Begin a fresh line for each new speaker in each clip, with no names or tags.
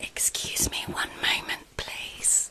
Excuse me one moment, please.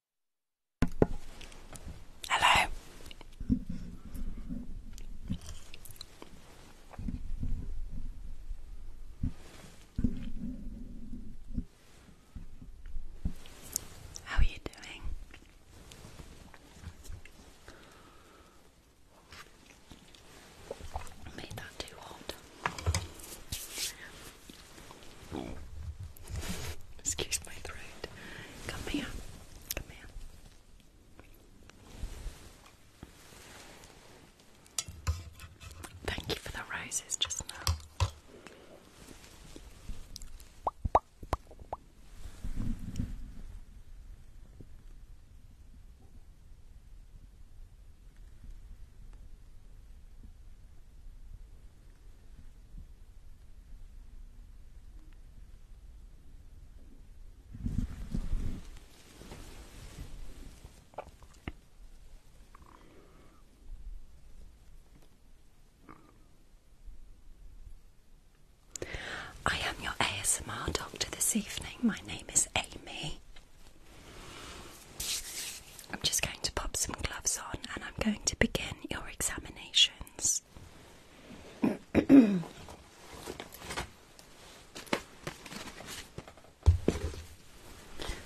Hello. How are you doing?
Made that too hot. Excuse my throat. Come here. Come here.
Thank you for the roses just now. I am your ASMR doctor this evening. My name is Amy. I'm just going to pop some gloves on and I'm going to begin your examinations. Please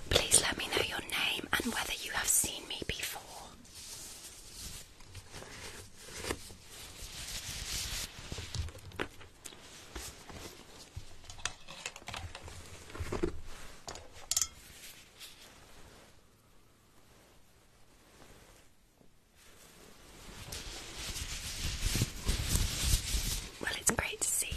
let me know your name and whether you have seen me before. Well, it's great to see you.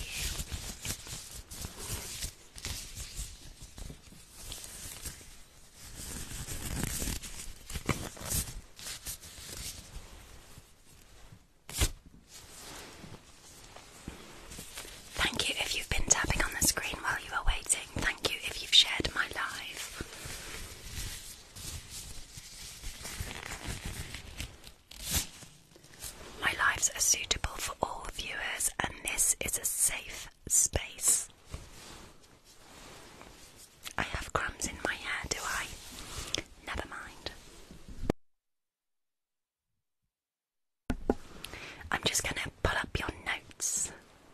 Thank you if you've been tapping on the screen while you were waiting thank you if you've shared my life, My lives are suitable for all viewers, and this is a safe space. I have crumbs in my hair, do I? Never mind. I'm just going to pull up your notes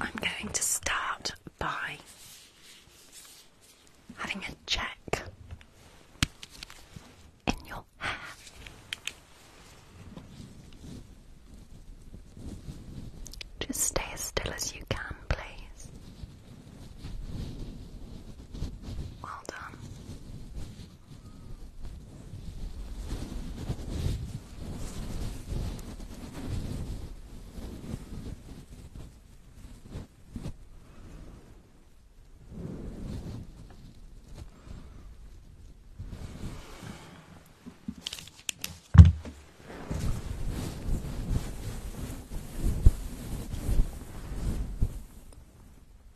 I'm going to start by having a check in your hair. Just stay as still as you can, please. Well done.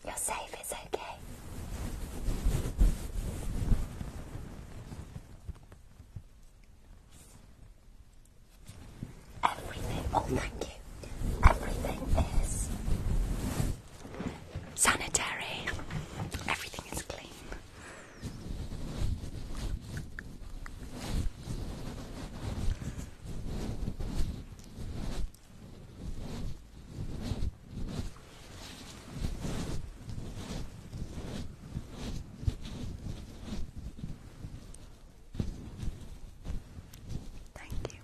You're safe, it's okay.
Everything, oh thank you, everything is sanitary, everything is clean. Thank you.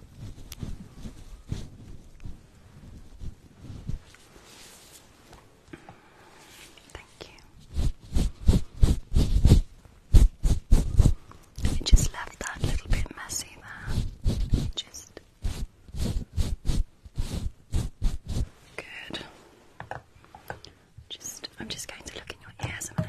Thank you. It just left that little bit messy there. Just good. Just, I'm just going to look in your ears a minute.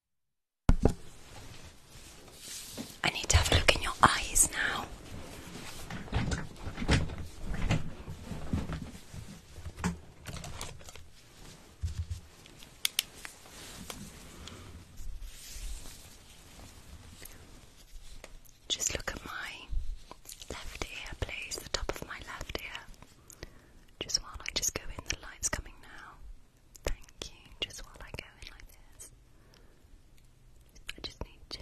I need to have a look in your eyes now. Just look at my left ear, please, the top of my left ear. Just while I just go in, the light's coming now. Thank you. Just while I go in like this, I just need to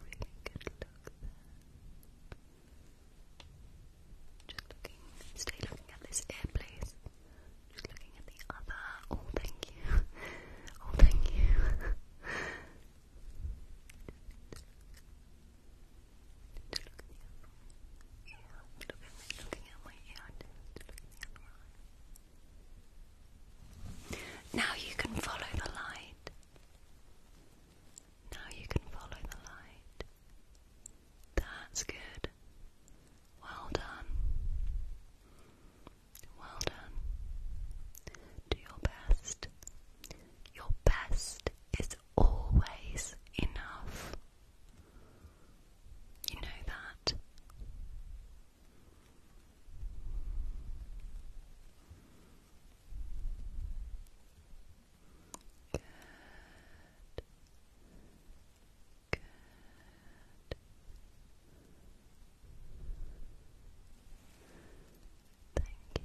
really good look Just looking, stay looking at this ear, please. Just looking at the other. Oh, thank you. Oh, thank you. Now you can follow the light. Now you can follow the light. That's good. Well done. Well done. Do your best. Your best is always enough. You know that. Good. Good. Thank you. That's it.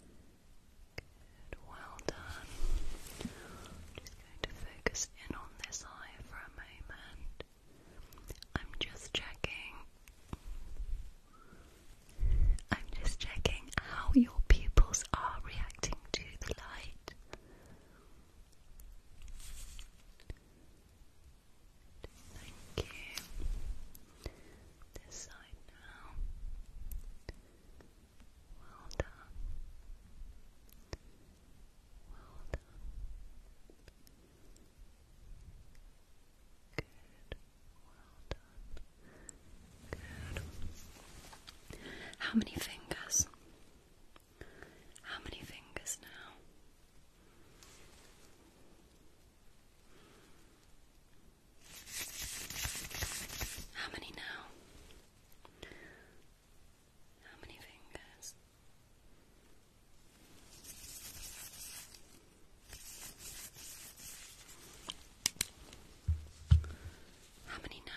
Good, well done. I'm just going to focus in on this eye for a moment. I'm just checking. I'm just checking how your pupils are reacting to the light. Thank you. This side now. Well done. Well done. Good. Well done. Good. How many fingers? How many fingers now? How many now? How many fingers? How many now?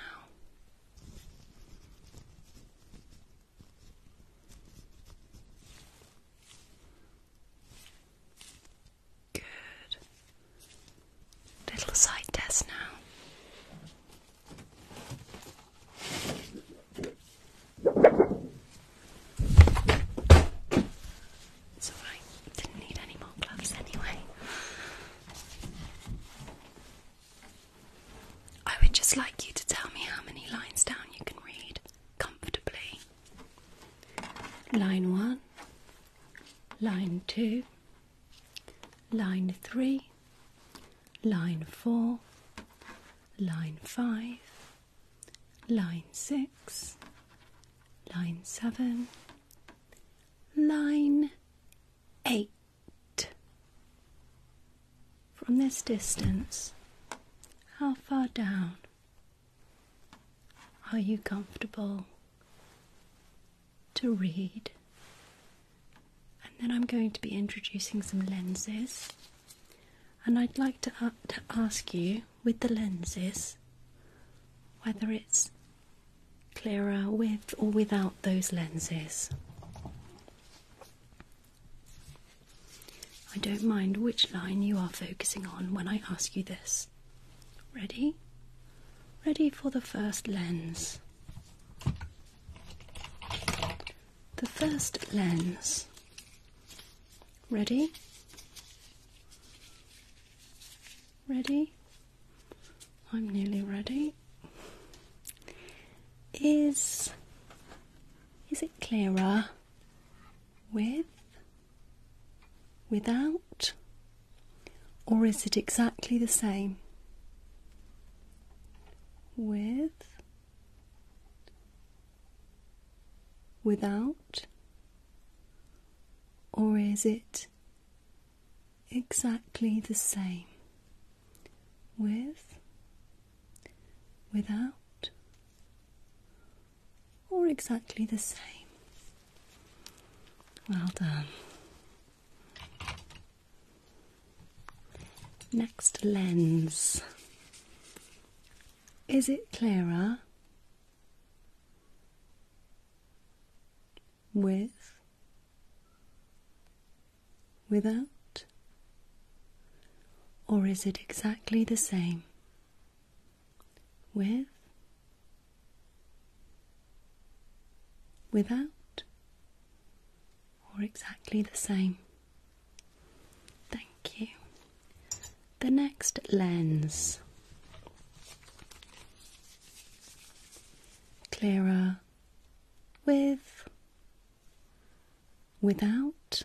Good. Little side test now. It's alright, didn't need any more gloves anyway. I would just like you to tell me how many lines down you can read comfortably line 1, line 2, line 3, line 4, line 5, line 6, line 7, line 8. From this distance, how far down are you comfortable to read? And then I'm going to be introducing some lenses. And I'd like to, uh, ask you with the lenses whether it's clearer with or without those lenses. I don't mind which line you are focusing on when I ask you this. Ready? Ready for the first lens. The first lens. Ready? Ready? I'm nearly ready. Is is it clearer with without, or is it exactly the same? With, without, or is it exactly the same? With, without, or exactly the same. Well done. Next lens. Is it clearer with, without, or is it exactly the same? with, without, or exactly the same. Thank you. The next lens clearer with, without,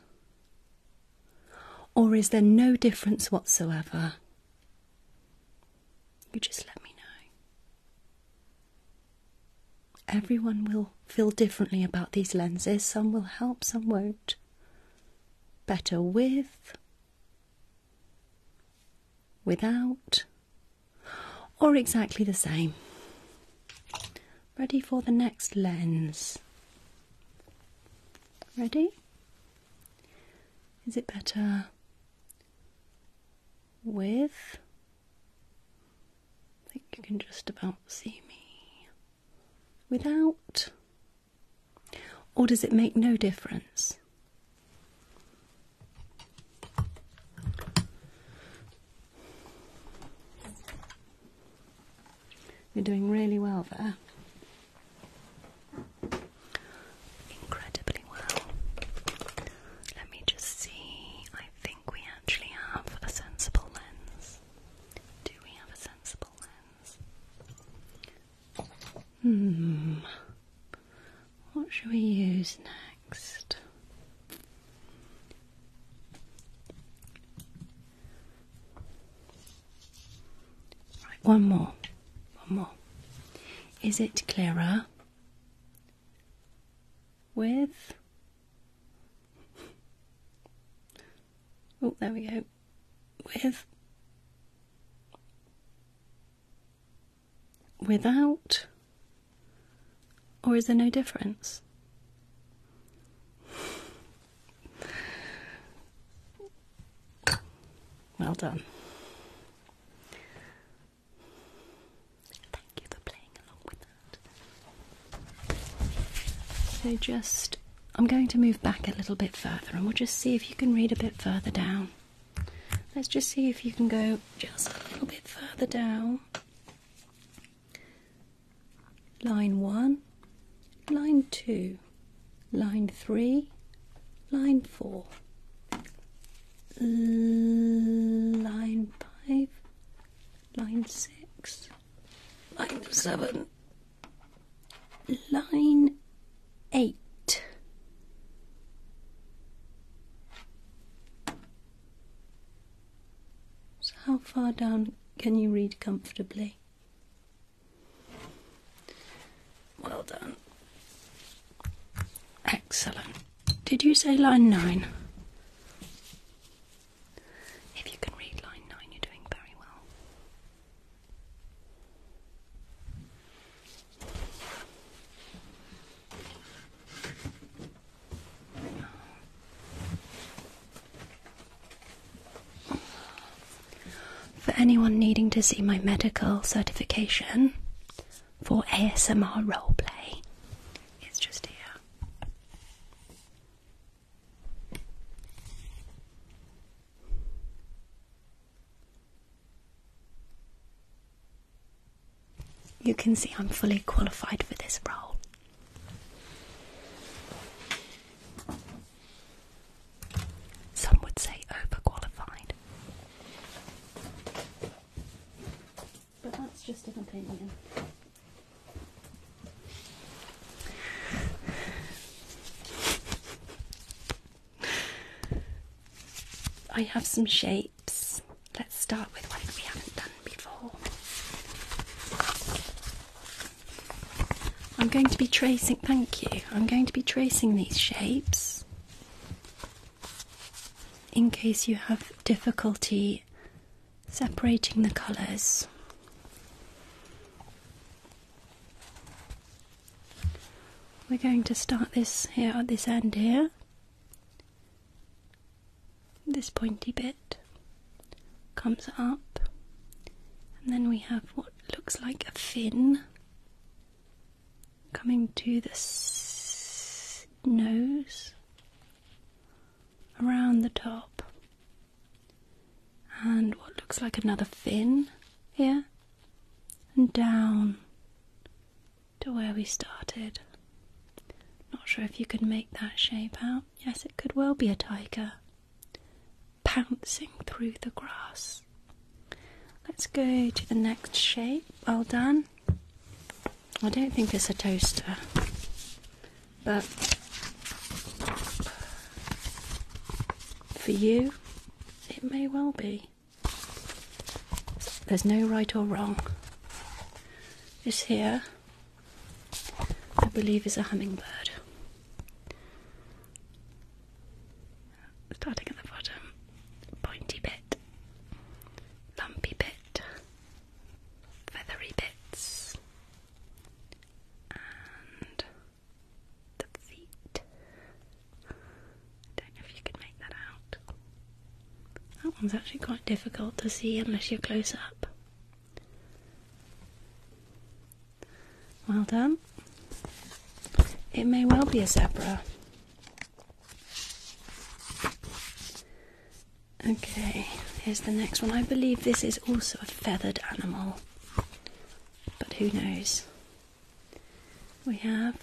or is there no difference whatsoever? You just let me know. Everyone will feel differently about these lenses. Some will help, some won't. Better with, without, or exactly the same. Ready for the next lens. Ready? Is it better with? I think you can just about see me. Without? Or does it make no difference? You're doing really well there. Incredibly well. Let me just see. I think we actually have a sensible lens. Do we have a sensible lens? Hmm. What should we use next? one more. One more. Is it clearer? With. Oh, there we go. With. Without. Or is there no difference? Well done. Thank you for playing along with that. So, just I'm going to move back a little bit further and we'll just see if you can read a bit further down. Let's just see if you can go just a little bit further down. Line one line 2, line 3, line 4, line 5, line 6, line 7, line 8. So, how far down can you read comfortably?
Well done. Excellent.
Did you say line nine? If you can read line nine, you're doing very well. For anyone needing to see my medical certification for ASMR roleplay, it's just here. You can see I'm fully qualified for this role. Some would say overqualified. But that's just an opinion. I have some shapes. Let's start with one that we haven't done before. I'm going to be tracing, thank you, I'm going to be tracing these shapes in case you have difficulty separating the colours. We're going to start this here at this end here, this pointy bit comes up, and then we have what looks like a fin coming to the nose around the top, and what looks like another fin here, and down to where we started. Not sure if you could make that shape out. Yes, it could well be a tiger pouncing through the grass. Let's go to the next shape. Well done. I don't think it's a toaster, but for you, it may well be. There's no right or wrong. This here, I believe, is a hummingbird. Starting at the bottom, pointy bit, lumpy bit, feathery bits, and the feet. Don't know if you can make that out. That one's actually quite difficult to see unless you're close up. Well done. It may well be a zebra. Okay, here's the next one. I believe this is also a feathered animal, but who knows? We have.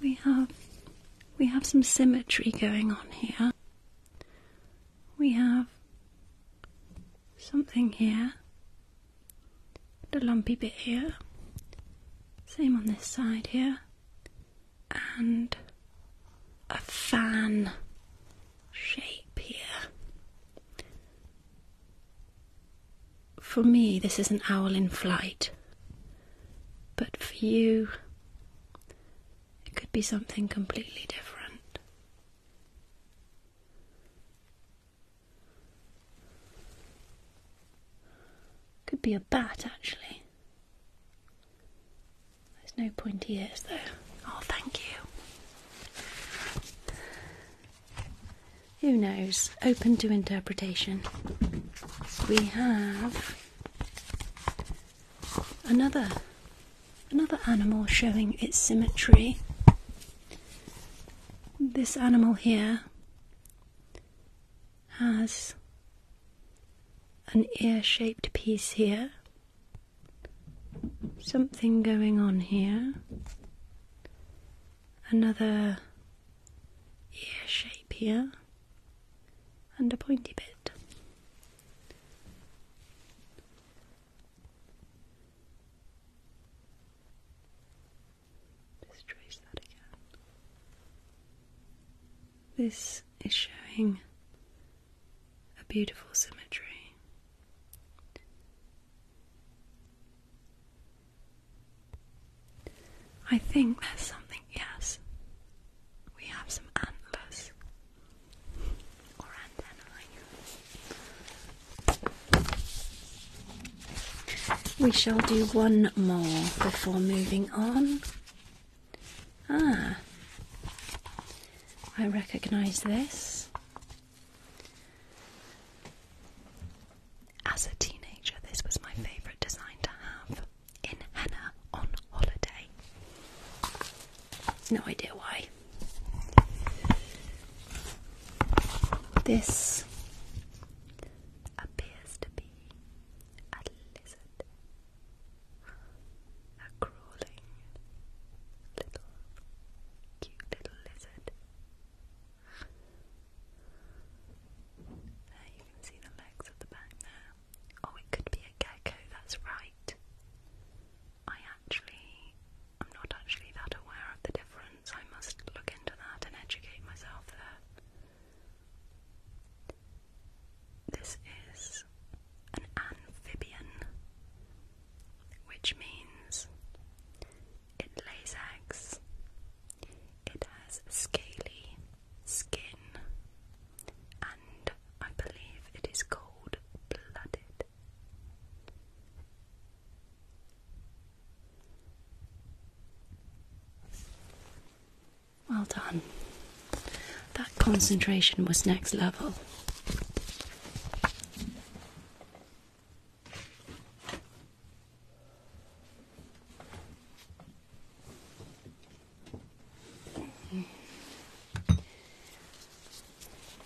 We have. We have some symmetry going on here. We have something here, the lumpy bit here, same on this side here, and a fan shape here. For me, this is an owl in flight, but for you, it could be something completely different. Could be a bat, actually. There's no pointy ears, though. Oh, thank you. Who knows? Open to interpretation. We have another another animal showing its symmetry this animal here has an ear shaped piece here, something going on here, another ear shape here, and a pointy bit. Just trace that again. This is showing a beautiful symmetry. I think there's something, yes. We have some antlers or antennae. We shall do one more before moving on. Ah, I recognise this. As a teenager, this was my favourite design to have in Henna on holiday. No idea why. This appears to be a lizard, a crawling little cute little lizard. There you can see the legs at the back there. Oh, it could be a gecko, that's right. I actually, I'm not actually that aware of the difference. I must look into that and educate myself there. This is an amphibian, which means it lays eggs. It has scaly skin, and I believe it is cold blooded. Well done. That concentration was next level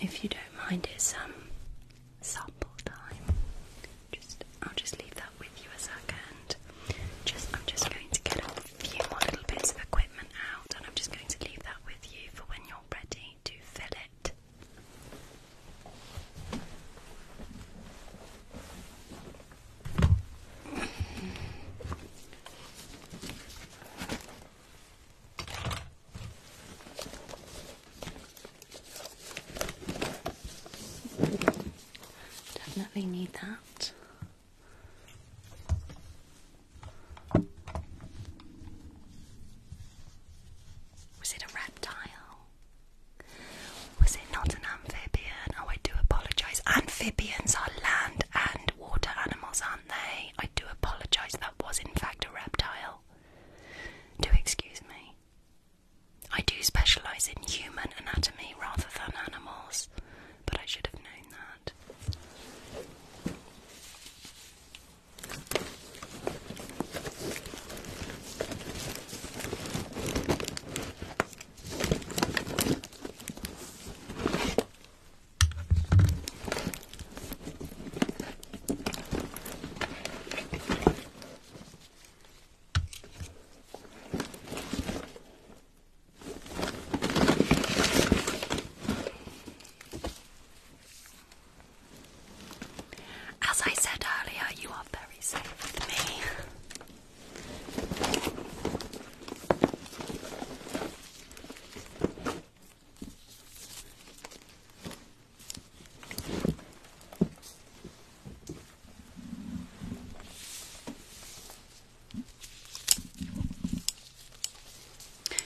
if you don't mind, it's um sample time. Just I'll just leave that with you a second. Just I'm just going to get a few more little bits of equipment out, and I'm just going to leave that with you for when you're ready to fill it. Definitely need that. Was it a reptile? Was it not an amphibian? Oh, I do apologise. Amphibians are land and water animals, aren't they? I do apologise. That was, in fact, a reptile. Do excuse me. I do specialise in human anatomy rather than animals, but I should have known that. As I said earlier, you are very safe with me.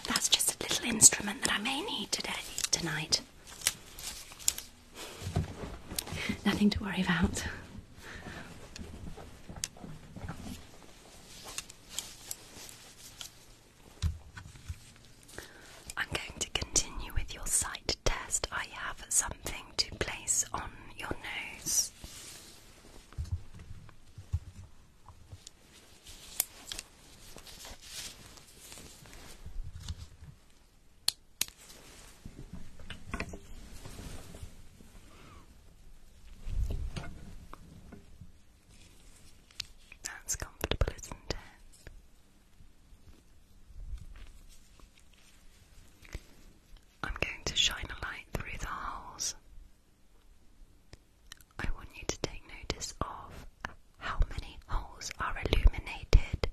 That's just a little instrument that I may need today, tonight. Nothing to worry about. I'm going to continue with your sight test. I have something to place on your nose. That's comfortable, isn't it? I'm going to shine a light through the holes. I want you to take notice of how many holes are illuminated.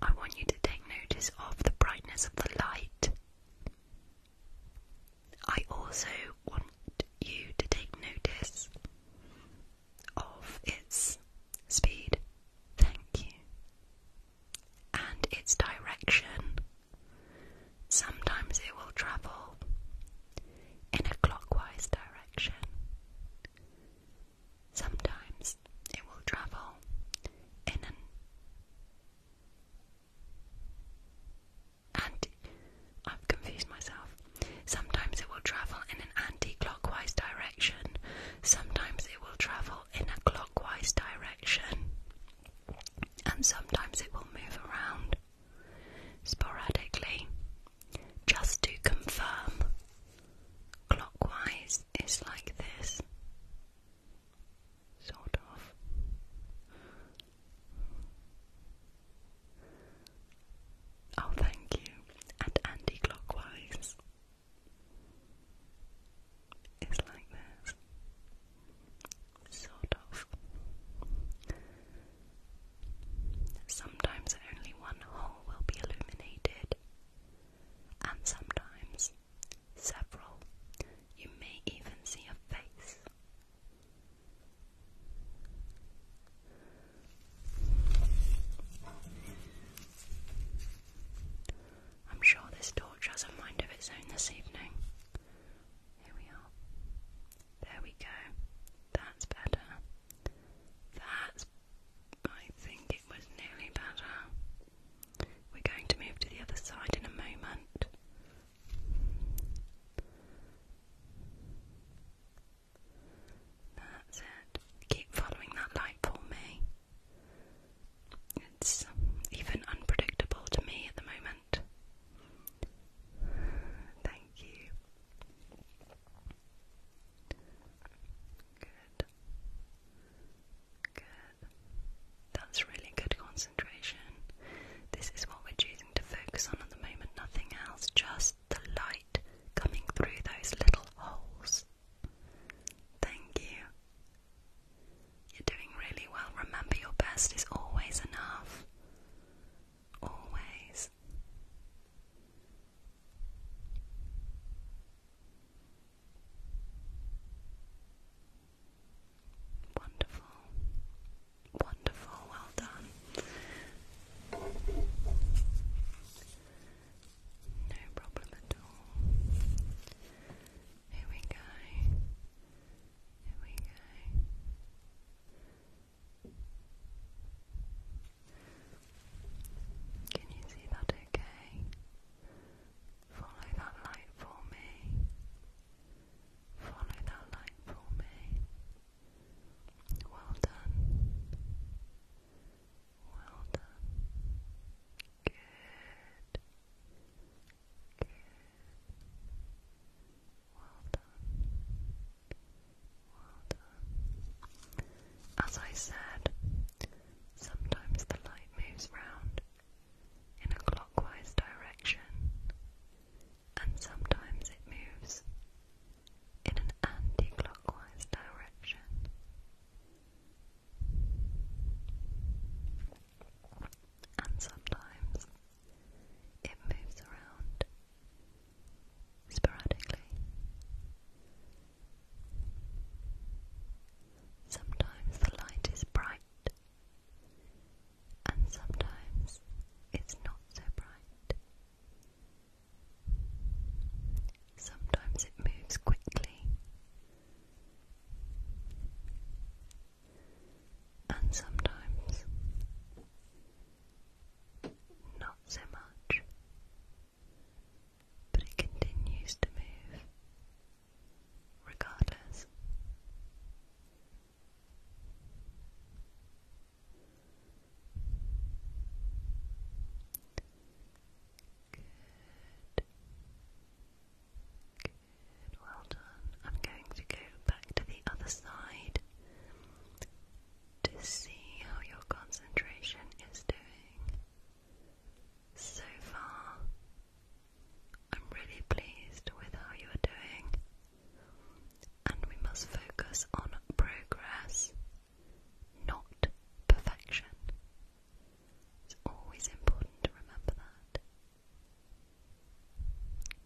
I want you to take notice of the brightness of the light. I also want you to take notice of its speed, thank you, and its direction. Sometimes it will travel in a clockwise direction. Sometimes it will travel in an and I've confused myself. Sometimes it will travel in an anti-clockwise direction. Sometimes it will travel in a clockwise direction. And sometimes it will move around sporadically. Just to confirm, clockwise is like this. Sort of. Oh, thank you. And anti-clockwise is like this, sort of. Sometimes only one hole will be illuminated, and sometimes several. You may even see a face. I'm sure this torch has a mind of its own this evening. Here we are. There we go. That's better. That's. I think it was nearly better. We're going to move to the other side in a moment. That's it. Keep following that light for me.
It's even unpredictable to me at the moment. Thank you.
Good. Good. That's really good concentration. This is what we're choosing to focus on at the moment, nothing else, just the light coming through those little holes. Thank you. You're doing really well. Remember, your best is always enough.
Always. Wonderful. Wonderful. Well done. No problem at all. Here we go. Here we go. Can you see that okay? Follow that light for me. Follow that light for me. Well done. Well done. Good. Good.
Well done. Well done. As I said, sometimes the light moves round in a clockwise direction, and sometimes it moves in an anti-clockwise direction. And sometimes it moves around sporadically. Sometimes the light is bright, and sometimes it's not so bright. Sometimes it moves quickly, and sometimes not so much, but it continues to move regardless.
Good. Good, well done. I'm going to go back to the other side to see how your concentration is doing. So far, I'm really pleased with how you are doing, and we must focus on progress not perfection. It's always important to remember that.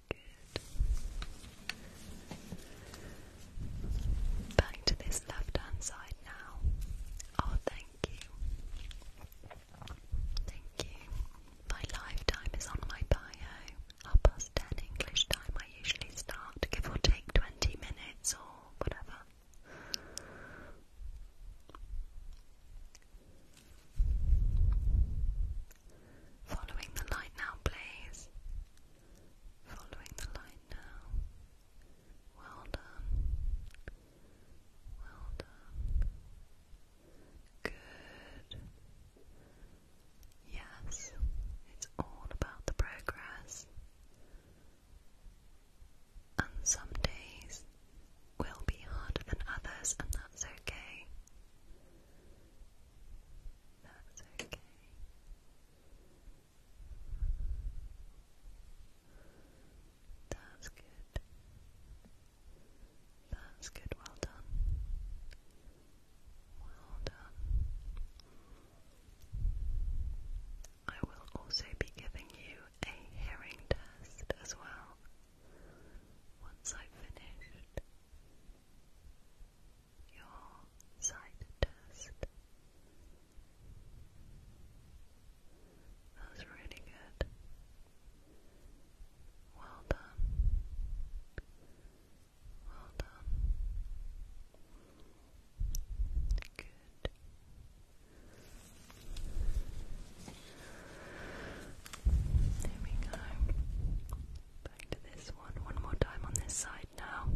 Good. Back to this left hand side now. Oh, thank you. Thank you. My live time is on my bio. Half past ten English time. I usually start, give or take 20 minutes or whatever.
Following the light now, please. Following the light now. Well done. Well done. Good. Yes, it's all about the progress. And some days will be harder than others, and that's okay. That's okay. That's good. That's good. Well done. Well done. I will also be giving you a hearing test
as well once I've your sight test. That's really good. Well done. Well done. Good. There we go. Back this one. One more time on this side now.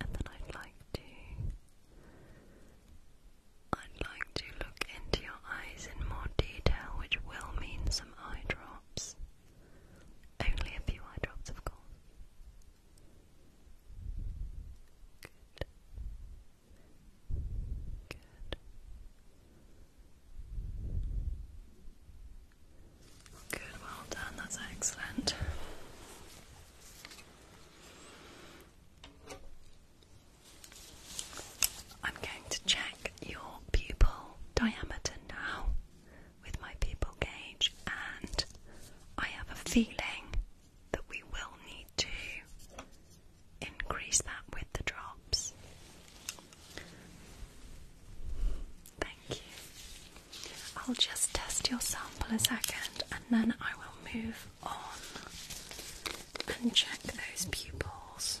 And then I'd like to I'd like to look into your eyes in more detail, which will mean some eye drops. Only a few eye drops, of course. Good. Good. Good, well done, that's excellent. I'm going to check your pupil diameter now with my people gauge, and I have a feeling that we will need to increase that with the drops. Thank you. I'll just test your sample a second and then I will move on and check those pupils.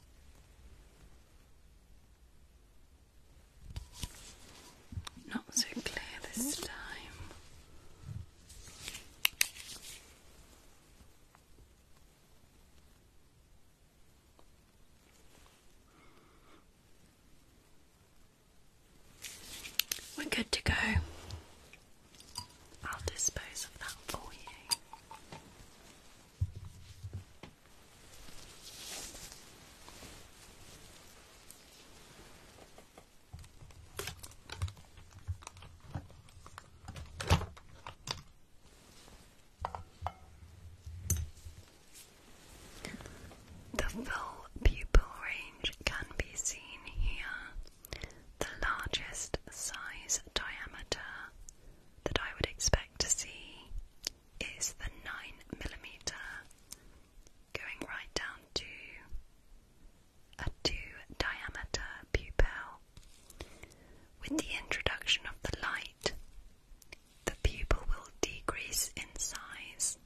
Not so clear this time. We're good to go. I'll dispose of that for you. The full pupil range can be seen here. The largest size diameter that I would expect to see is the 9mm going right down to a 2 diameter pupil. With the introduction of the light, the pupil will decrease in size.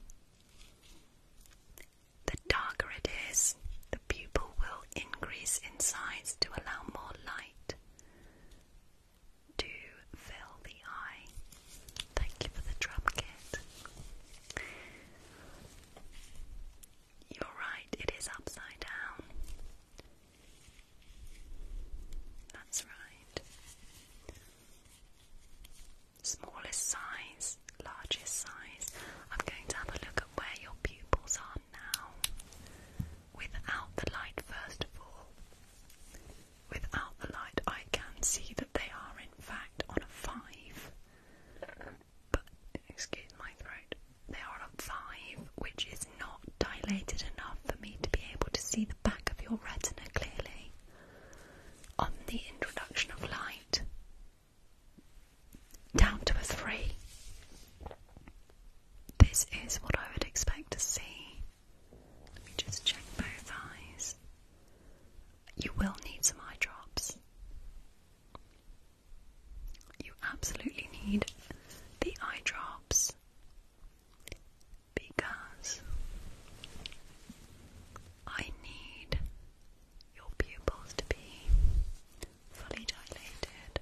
The darker it is, the pupil will increase in size to allow more light to fill the eye. Thank you for the drum kit. You're right, it is upside down. That's right. Smallest size, largest size. I'm going to have a look at where your pupils are now without the light first of all. Without the light, I can see that they are in fact on a five. But excuse my throat. They are on a five, which is not dilated enough for me to be able to see the back of your retina clearly. On the introduction of light, down to a three. This is what I would expect to see. Let me just check both eyes. You will need some eye drops. You absolutely need the eye drops because I need your pupils to be fully dilated.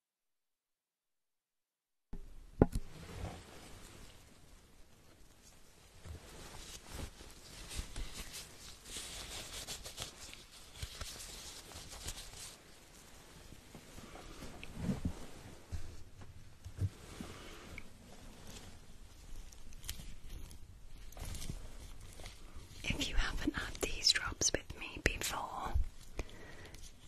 If you haven't had these drops with me before,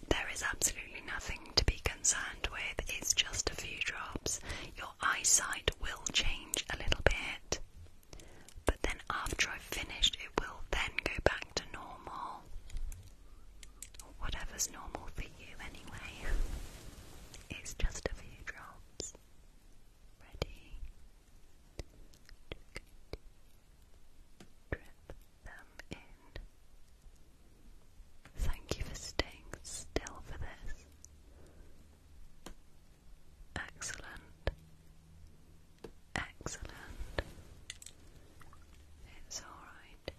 there is absolutely nothing to be concerned with, it's just a few drops. Your eyesight will change a little bit, but then after I've finished, it will then go back to normal. whatever's normal for you, anyway. It's just a few drops. Ready? Drip them in. Thank you for staying still for this.
Excellent. Excellent.
It's alright.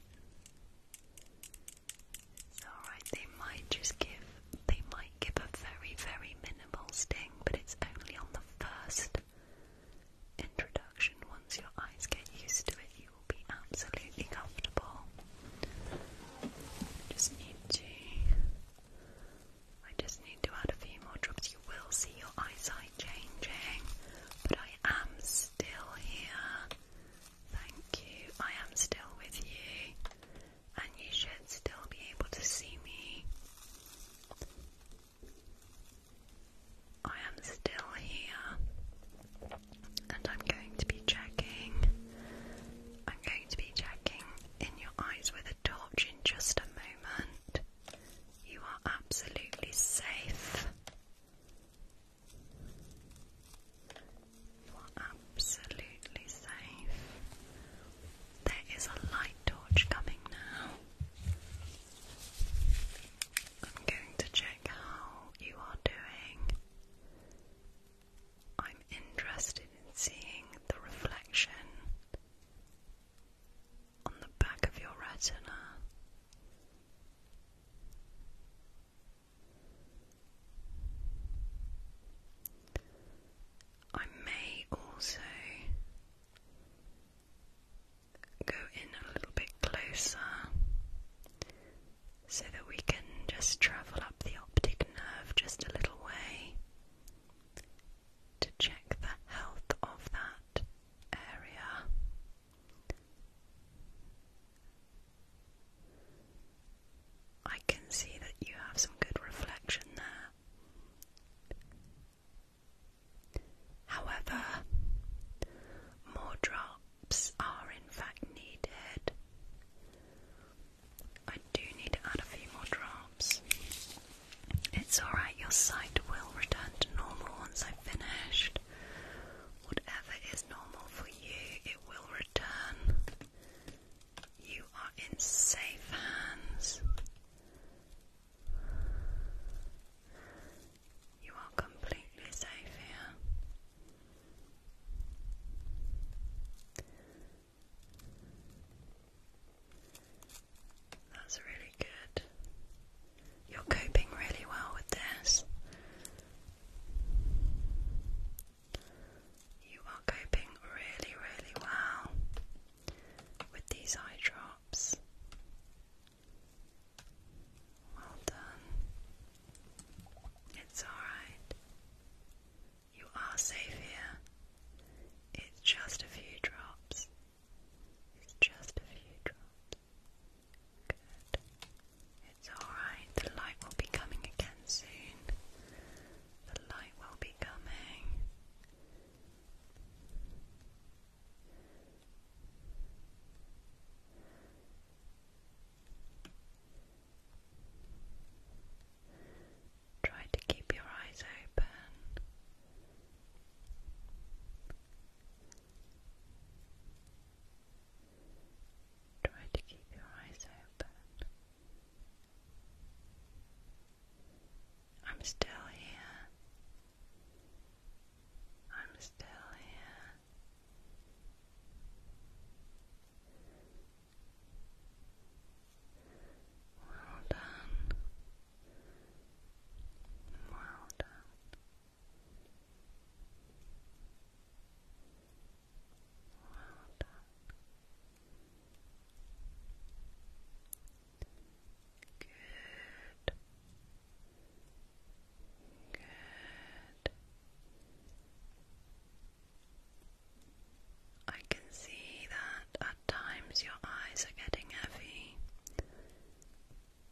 It's alright. They might just give they might give a very, very minimal sting, but it's only on the first introduction. Once your eyes get used to it, you will be absolutely comfortable. just need to. I just need to add a few more drops. You will see your eyesight changing, but I am still here. Thank you. I am still with you, and you should still be able to see me. I am still here and I'm going to be checking. I'm going to be checking in your eyes with a torch in just a moment. You are absolutely safe. You are absolutely safe. There is a light torch coming now. I'm going to check how you are doing. I'm interested in seeing the reflection on the back of your retina. I may also go in a little bit closer so that we can just travel up the optic nerve just a little way to check the health of that area. I can see that you have some good reflection there. However, more drops are in fact needed. I do need to add a few more drops. It's alright, your sight will return to normal once I've finished. Whatever is normal for you, it will return. You are in safe hands. You are completely safe here. That's really good. You're coping really well with this. You are coping really, really well with these eye drops. Well done. It's alright. You are safe here. It's just a few drops. It's just a few drops. Good. It's alright. The light will be coming again soon. The light will be coming. Try to keep your eyes open. Try to keep your eyes open. I'm still here. I'm still here. Well done.
Well done. Well done. Good. Good. I can
see that at times your eyes are getting heavy,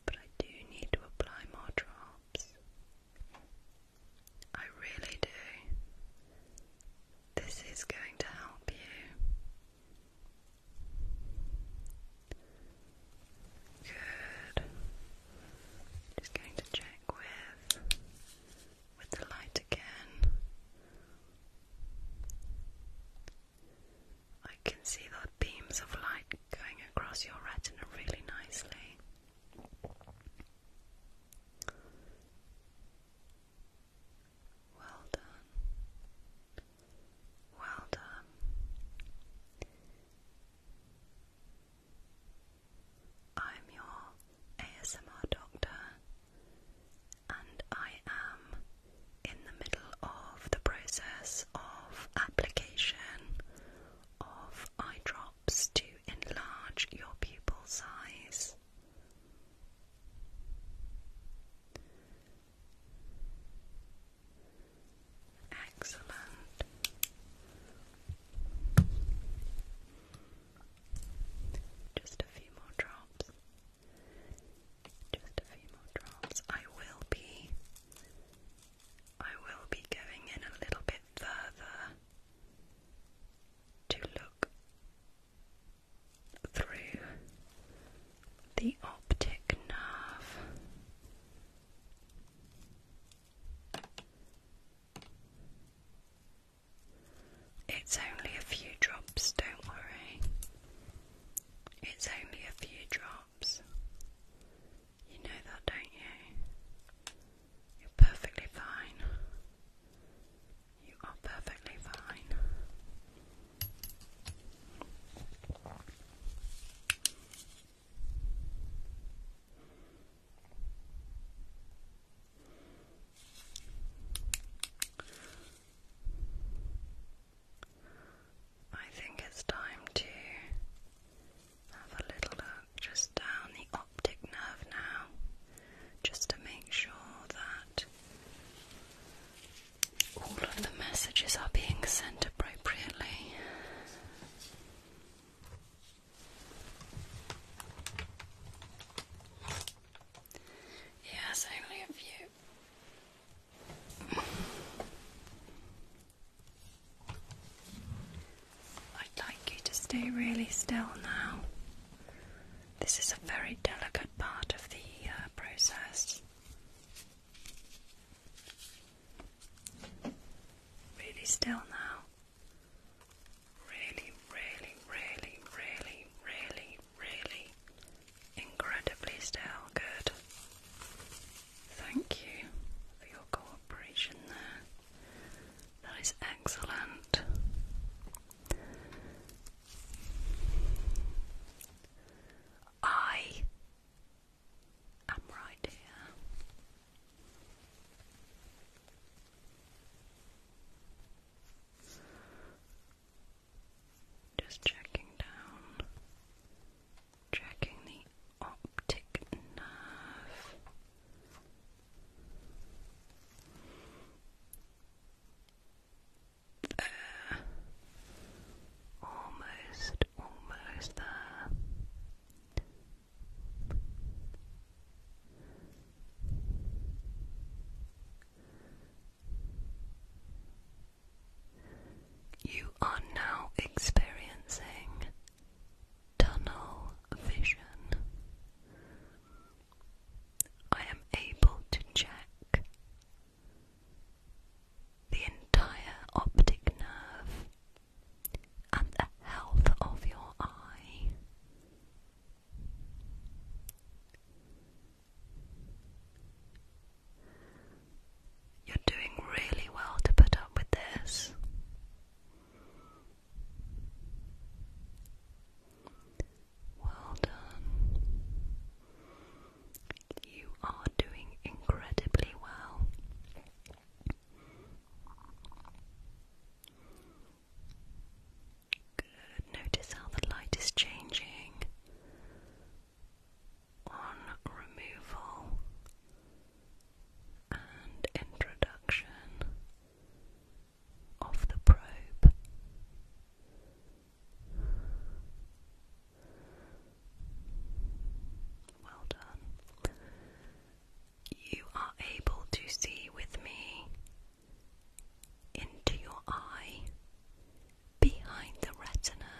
but I do need to apply more drops. I really do. This is going to help you. Good. Just going to check with with the light again. I can see the beams of light going across your retina really nicely. Well done. Well done. I'm your ASMR doctor, and I am in the middle of the process of application of eye drops to enlarge your pupil size. Excellent. Just a few more drops. Just a few more drops. I will be I will be going in a little bit further to look
through the optic nerve.
It's only a few drops, don't worry. It's only a few drops. You know that, don't you? You're perfectly fine. You are perfectly fine. I think it's time to have a little look just down the optic nerve now, just to make sure that all of the messages are being sent appropriately. Yes, only a few. I'd like you to stay really still now. This is a very delicate part of the uh, process. Really still now. Really, really, really, really, really, really incredibly still. Good. Thank you for your cooperation there. That is excellent. I I'm right here. Just checking down, checking the optic nerve. There. Almost, almost there. You are now experiencing tunnel vision. I am able to check the entire optic
nerve and the health of your eye. You're doing really
well to put up with this. Well done. You are doing incredibly well. Good. Notice how the light is changing on removal and introduction of the probe. Well done you are able to see with me into your eye, behind the retina,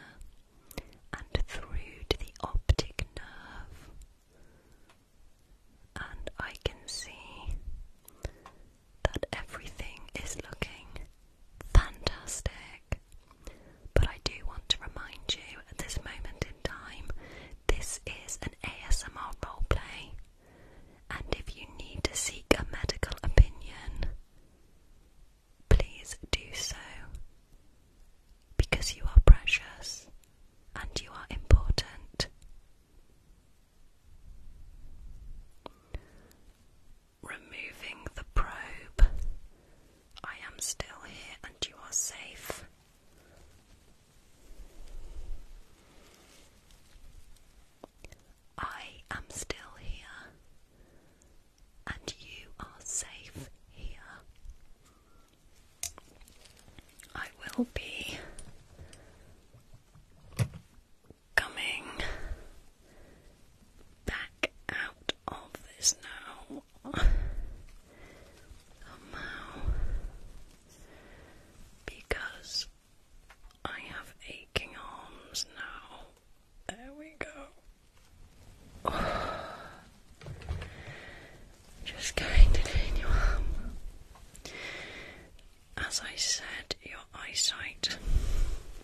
and through to the optic nerve. And I can see that everything is looking fantastic. But I do want to remind you at this moment in time, this is an ASMR roleplay. And if you need to seek a medical opinion, please do so. Because you are precious and you are important. Removing the probe. I am still here and you are safe. I am still here, and you are safe here. I will be
coming back out of this now.
Because I have aching arms
now. There we go.
Just going to your arm. As I said, your eyesight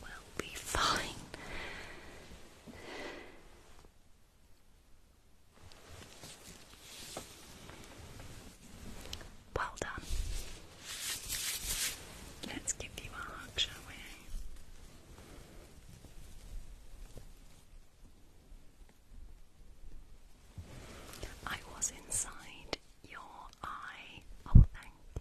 will be fine. Well done. Let's give you a hug, shall we? I was inside your eye. Oh, thank you.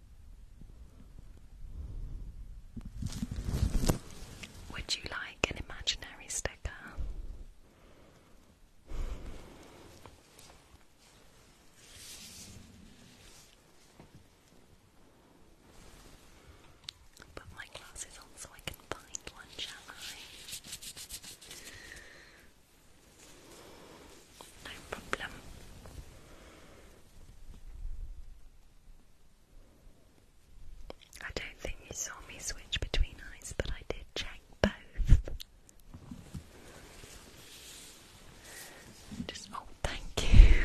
Would you like an imaginary sticker?
Put my glasses on so I can find one, shall I? No problem. I don't think you saw me switch between
eyes, but I did check both. Just oh, thank you.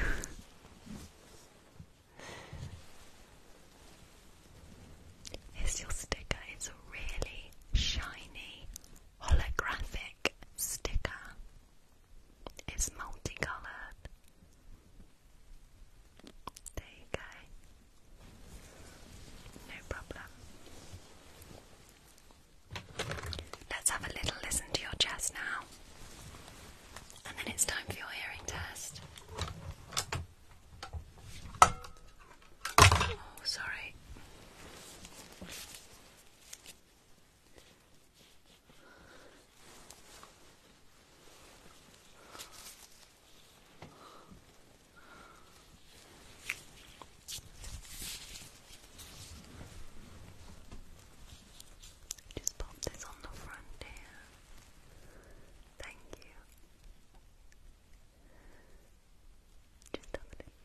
Here's your sticker. It's a really shiny holographic sticker. It's multicolored. There you go. No problem. Let's have a little listen to your chest now. And then it's time for your hearing test. Oh, sorry. Just pop this on the front here. Thank you. Just have a little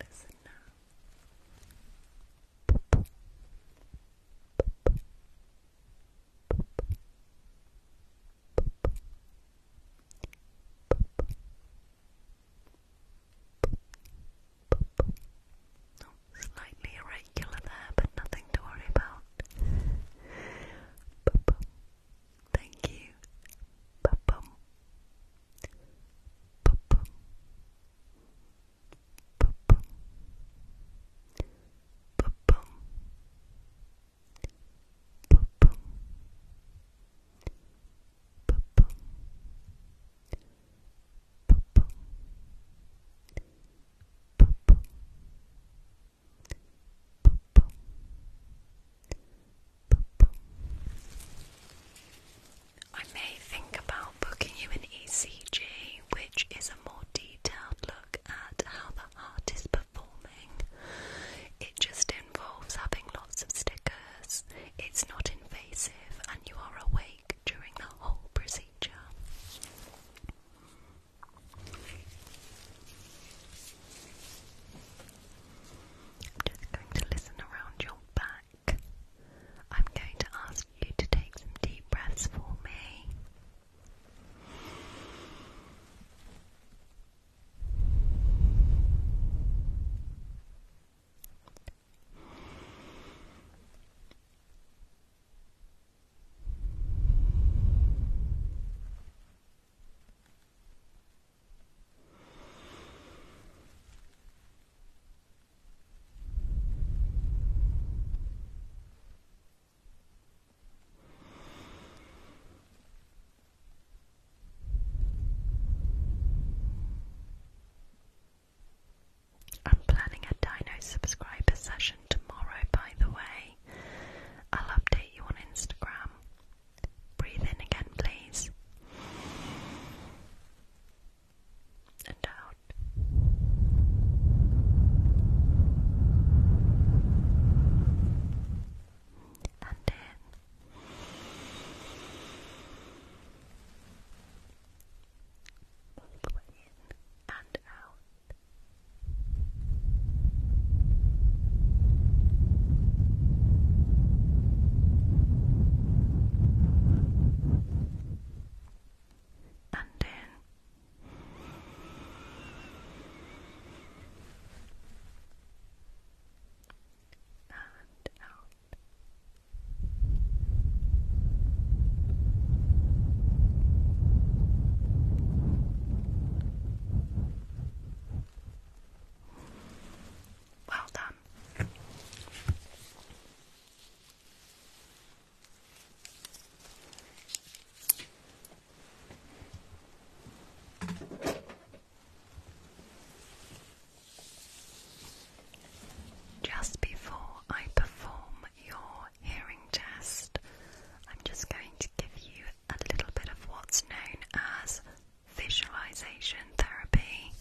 slightly irregular there, but nothing to worry about. Thank you. I may think about booking you an ECG, which is a more detailed look at how the heart is performing. It just involves having lots of stickers, it's not invasive, and you are awake during the whole procedure. I'm just going to listen around your back. I'm going to ask ask you to take some deep breaths for me. I'm planning a Dino subscriber session tomorrow, by the way. I'll update you on Instagram. Breathe in again, please and out. And
in. and out and in. And out.
Well done. Just before I perform your hearing test, I'm just going to give you a little bit of what's known as visualization therapy.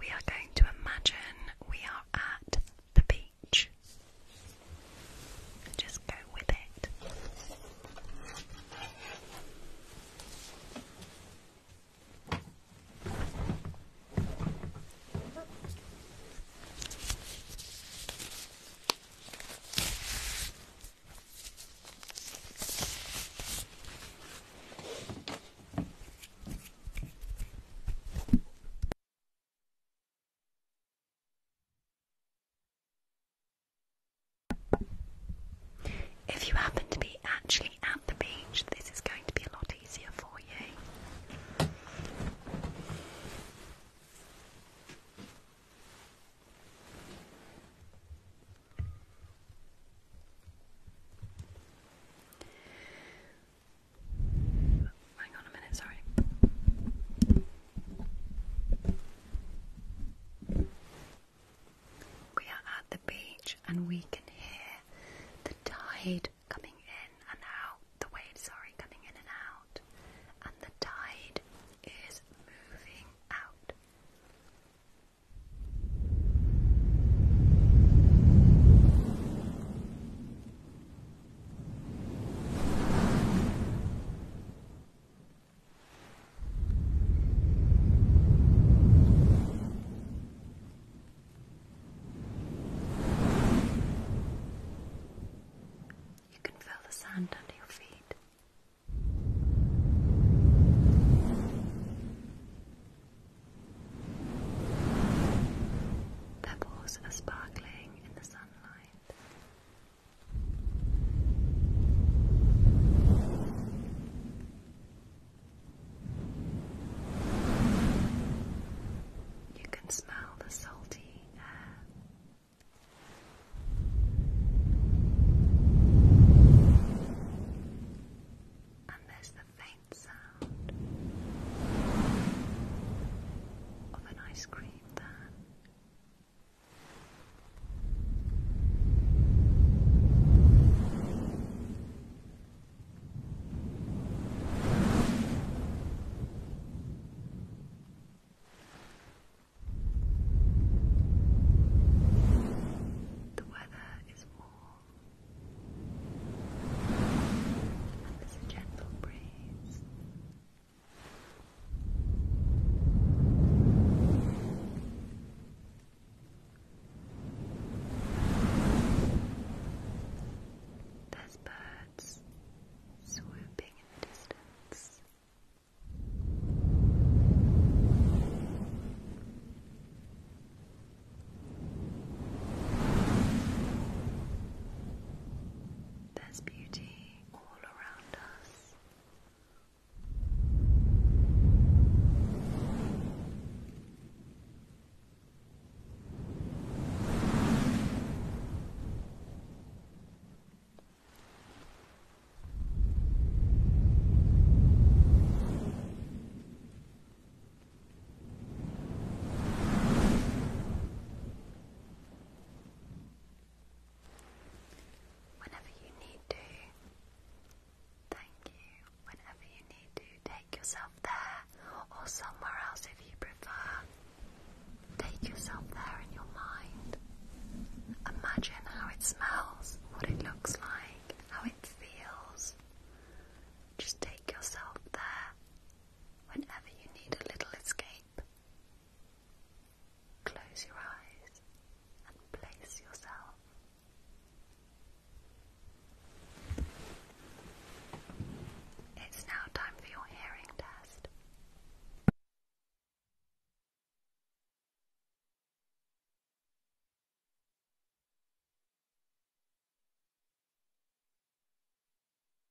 We are going to imagine we are at the beach page. Just go with it. If you happen to be actually at the beach, this is going to be a lot easier for you. Hang on a minute, sorry. We are at the beach and we can hear the tide coming in and out, the waves, sorry, coming in and out, and the tide is moving out. You can feel the sand under your feet. Pebbles are sparkling you can smell the salty air. And there's the faint sound of an ice cream van. The weather is warm, and there's a gentle breeze. There's birds swooping in the distance. There's beauty all around us.
Whenever you need to, thank you. Whenever you need to, take
yourself there or somewhere else if you prefer. Take yourself there in your mind. Imagine how it smells, what it looks like, how it feels. Just take yourself there whenever you need a little escape. Close your eyes and place yourself
it's now time for your hearing test.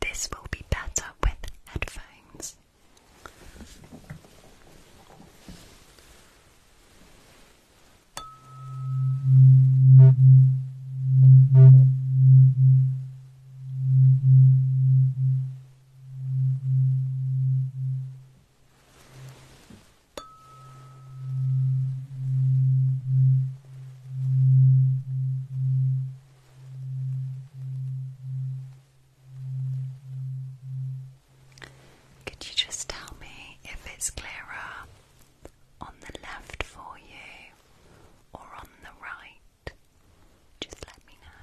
This will be better with headphones.
Could you just tell me if it's clearer on the left for you or on the right? Just let me know.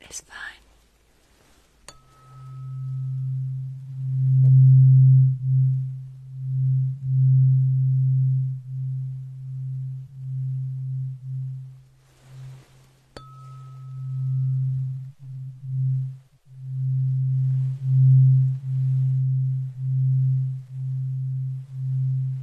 It's fine.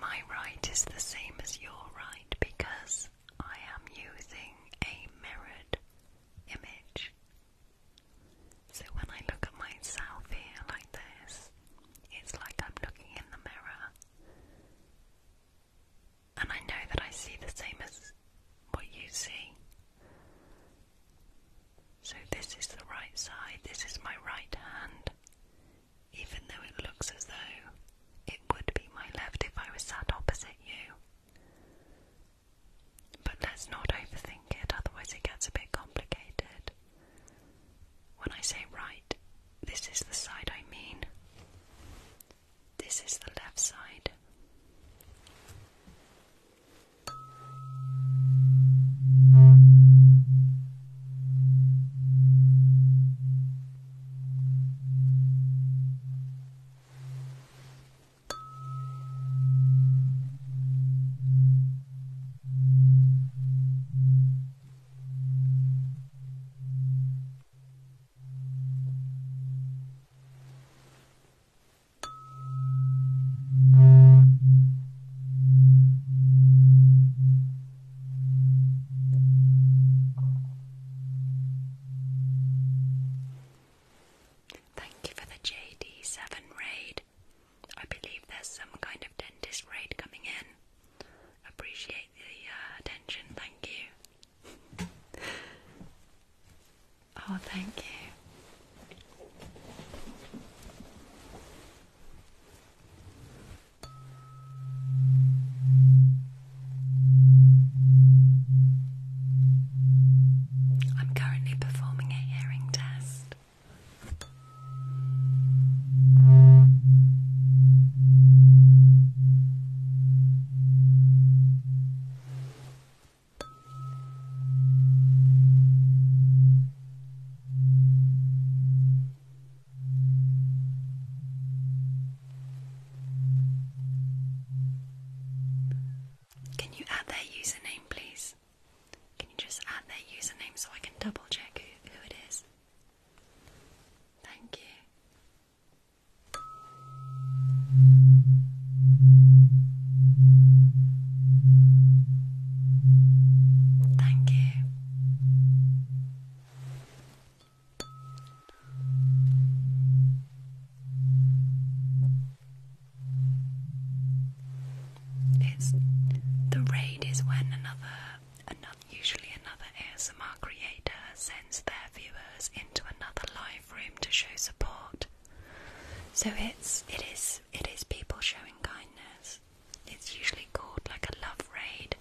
My right is the same as your right because I am using a mirrored image. So when I look at myself here like this, it's like I'm looking in the mirror and I know that I see the same as what you see. So, this is the right side, this is my right hand, even though it looks as though it would be my left if I was sat opposite you. But let's not overthink it, otherwise, it gets a bit complicated. When I say right, this is the side I mean. This is the left side. Thank you for the JD7 raid. I believe there's some kind of dentist raid coming in. Appreciate the uh, attention, thank you oh, thank you.
I'm currently performing a hearing test.
Can you add their username, please? Can you just add their username so I can double check who, it is? Thank you.
Thank you. It's
the raid is when another another usually another ASMR creator sends their viewers into another live room to show support. So it's it is it is people showing kindness. It's usually called like a love raid,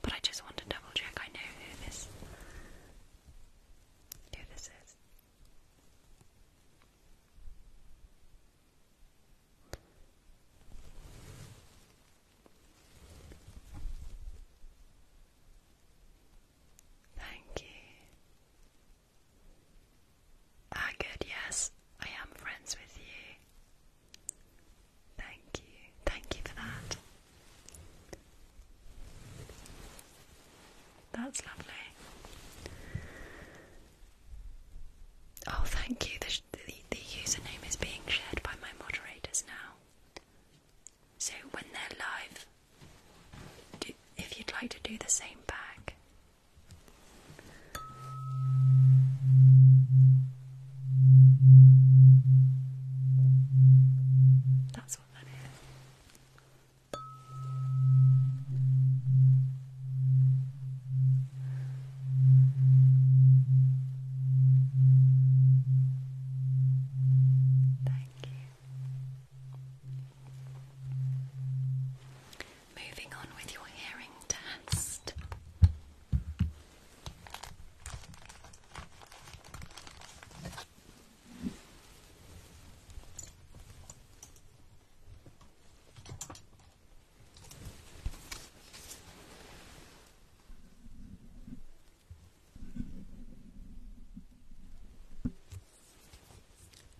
but I just want to double check I know who this who this is. Thank you. Ah, good, yes, I am friends with you. Thank you, thank you for that. That's lovely. Oh, thank you. The, the, username is being shared by my moderators now. So when they're live, if you'd like to do the same back.
That's what that is. Thank you.
Moving on with your hearing test.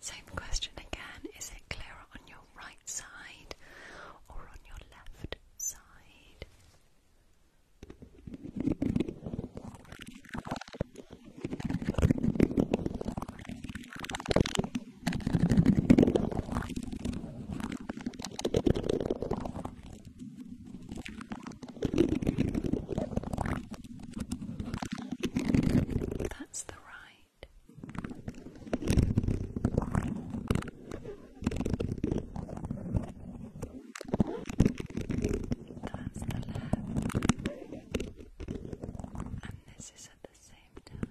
Same question again, is it clearer on your right side or on your left side? That's the ride. That's the left. And this is at the same time.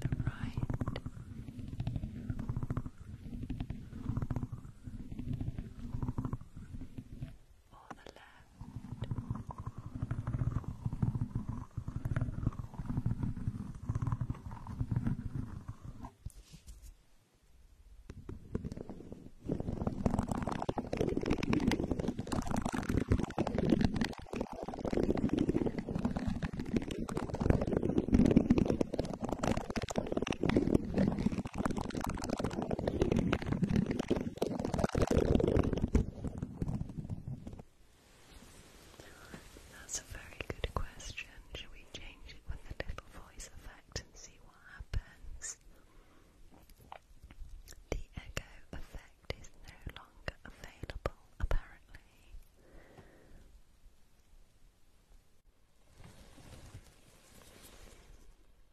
the right. Or the left. That's a very good question. Should we change it with a little voice effect and see what happens? The echo effect is no longer available, apparently.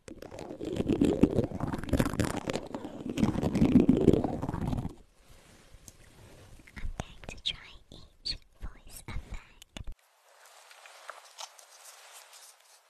I'm going to try each voice effect.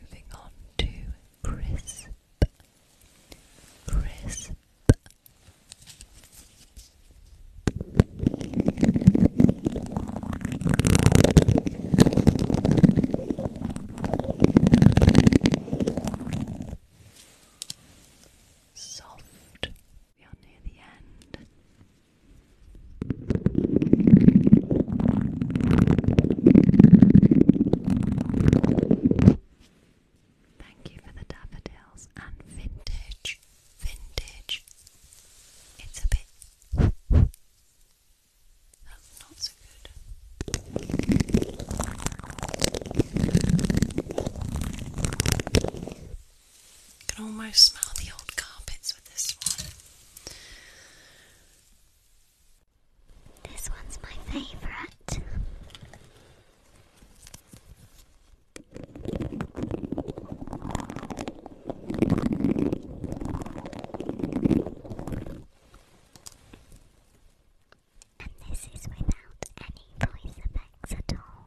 Moving on to crisp, crisp. Soft, we are near the end. Thank you for the daffodils and vintage. Vintage. It's a bit. not so good. You can almost smell the old carpets with this one. This one's my favourite. And this is without any voice effects at all.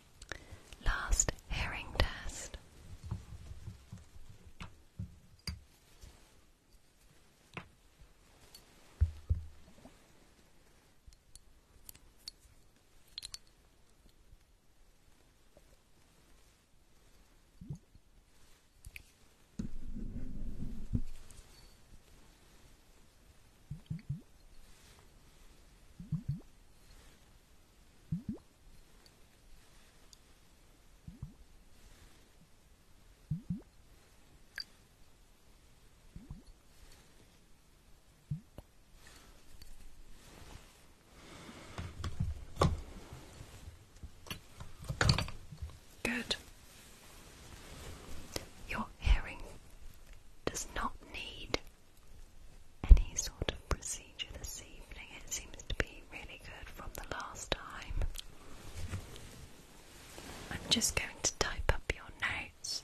Last hearing test. Good. Your hearing does not need any sort of procedure this evening. It seems to be really good from the last time. I'm just going to type up your notes.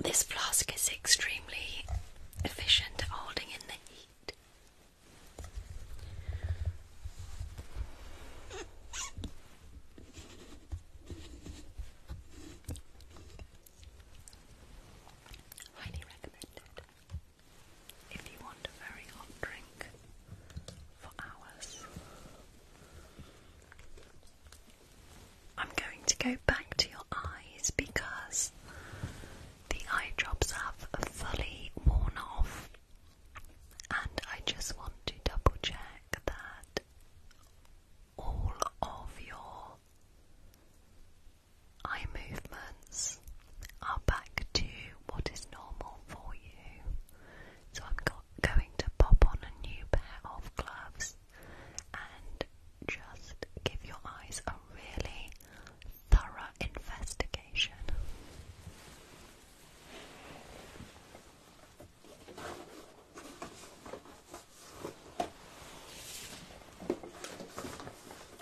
This flask is extremely efficient at holding in the heat. Highly recommended if you want a very hot drink for hours. I'm going to go back to your eyes because the eye drops have fully worn off, and I just want to double check that all of your Eye movements are back to what is normal for you. So I'm go going to pop on a new pair of gloves and just give your eyes a really thorough investigation.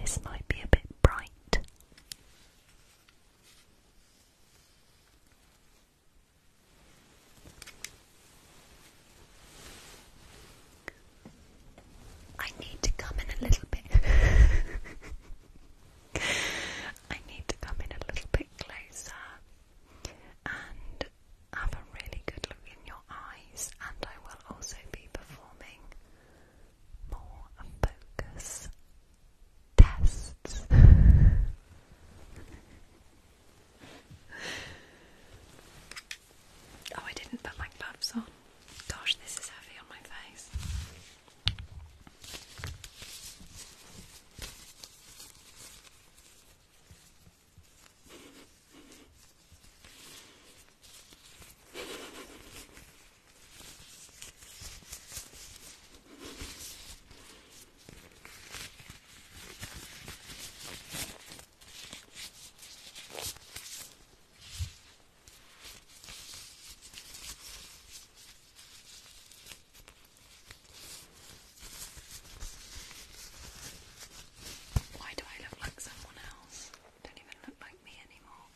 This might be a bit bright. I need to come in a little bit. I need to come in a little bit closer and have a really good look in your eyes, and I will also be performing
more focus tests.
Oh, I didn't put my gloves on. Gosh, this is heavy on my face. Why do I look like someone else? don't even look like me anymore.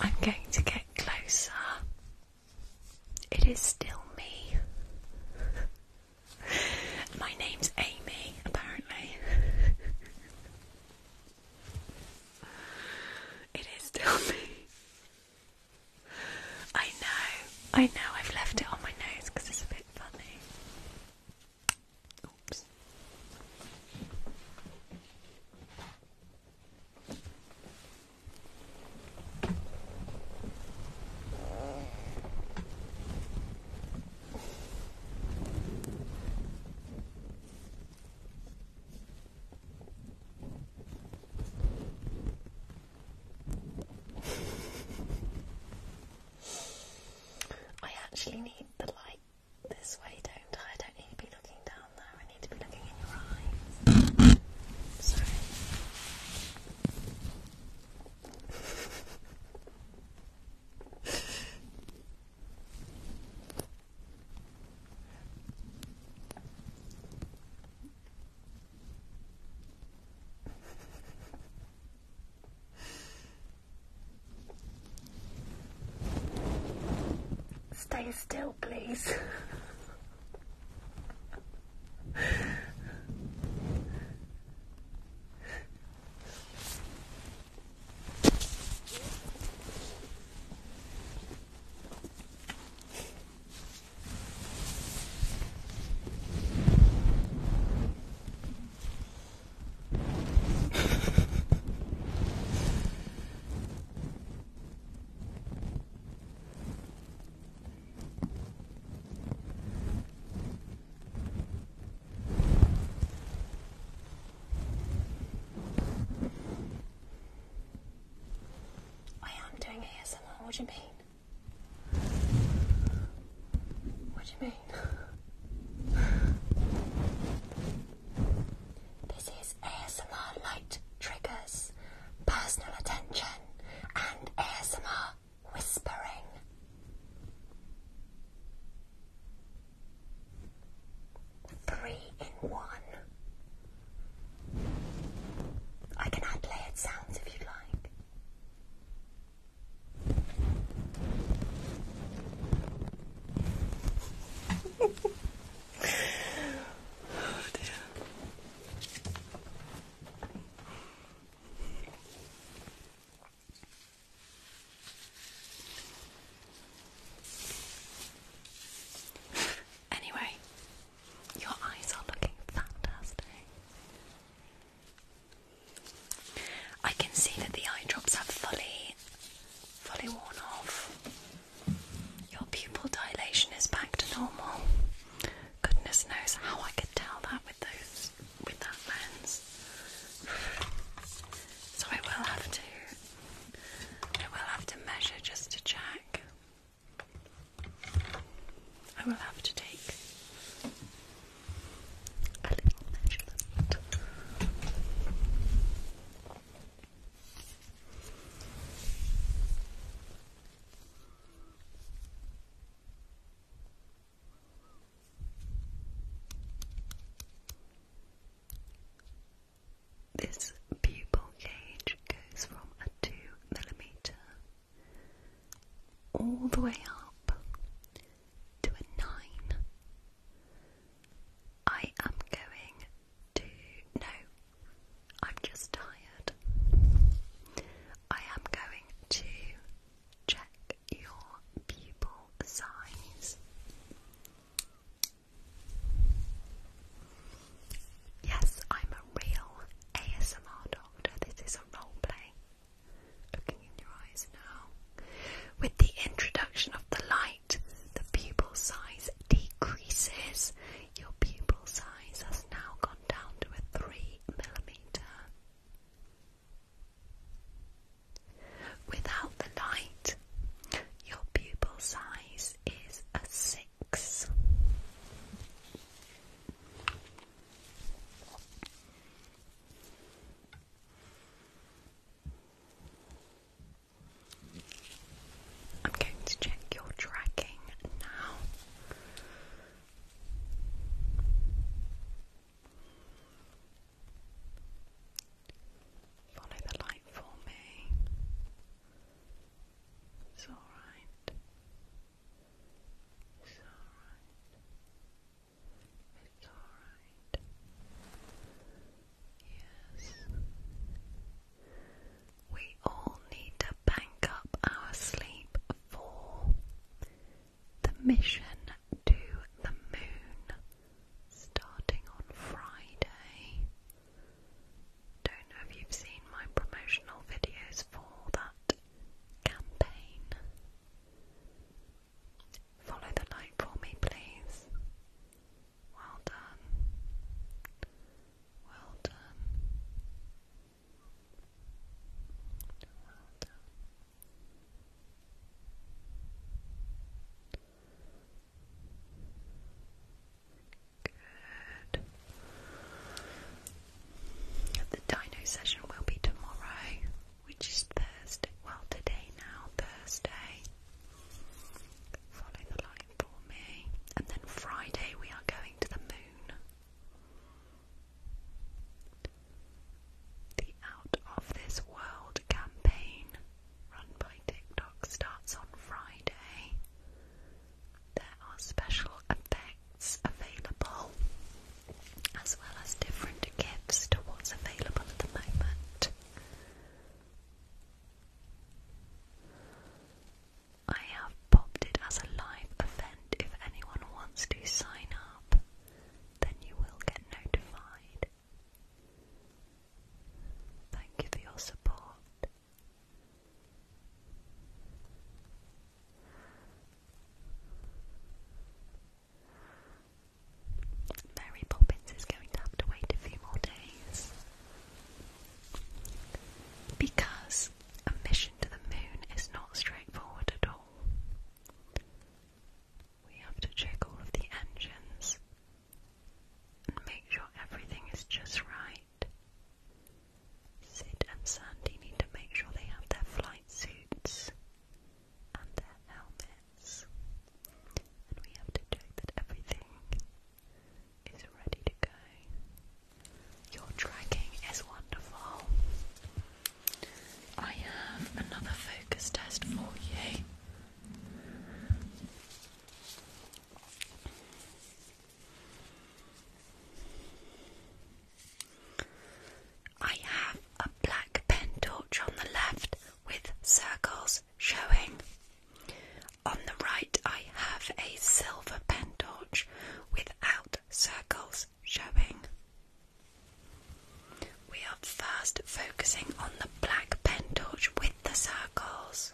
I'm going to get closer. It is still me.
My name's
Amy, apparently. it is still me. I know, I know I've left it on my nose because it's a bit funny. Oops. I actually need the light this way, don't I? don't need to be looking down there. I need to be looking in your eyes. Sorry. Stay still, please. I am doing ASMR. What do you mean? What do you mean? This is ASMR light triggers, personal attention, and ASMR whispering. Three in one. I can add layered sounds if you'd like. Anyway, your eyes are looking fantastic. I can see that the eye drops have fully fully worn off. Your pupil dilation is back to normal. Goodness knows how I could tell that with those with that lens. So I will have to I will have to measure just to check. I will have to take a little measurement. This pupil cage goes from a two millimeter all the way up to a nine. I am going no, I'm just tired. I am going
to check your pupil size. Yes, I'm a real ASMR doctor. This is a role play.
Looking in your eyes now. With the introduction of the light the pupil size decreases. Your pupil size has now gone down to a 3 millimeter. Without the light, your pupil size is a
6. I'm going to check your tracking now.
Follow the light for me. It's alright. It's alright. It's alright. Yes. We all need to bank up our sleep for the mission to the moon starting on Friday. Don't know if you've seen my promotional videos for that campaign. Follow the light for me, please. Well done. Well done. Well done. Good. The dino session will be tomorrow, which is Thursday. Well, today now, Thursday. Follow the light and then Friday we are going to the moon. The Out of This World campaign, run by TikTok, starts on Friday. There are special effects available, as well as different gifts to what's available at the moment. I have popped it as a live event. If anyone wants to sign up, then you will get notified. Thank you for your support. Mary Poppins is going to have to wait a few more days. Because a mission to the moon is not straightforward at all. We have to check all of the engines and make sure everything is just right. Sid and Sandy need to make sure they have their flight suits and their helmets. And we have to check that everything is
ready to go. Your tracking is wonderful. I have
another focus test for you. I have a black pen torch on the left with circles showing. On the right, I have a silver pentorch without circles showing. We are first focusing on the black pentorch with the circles.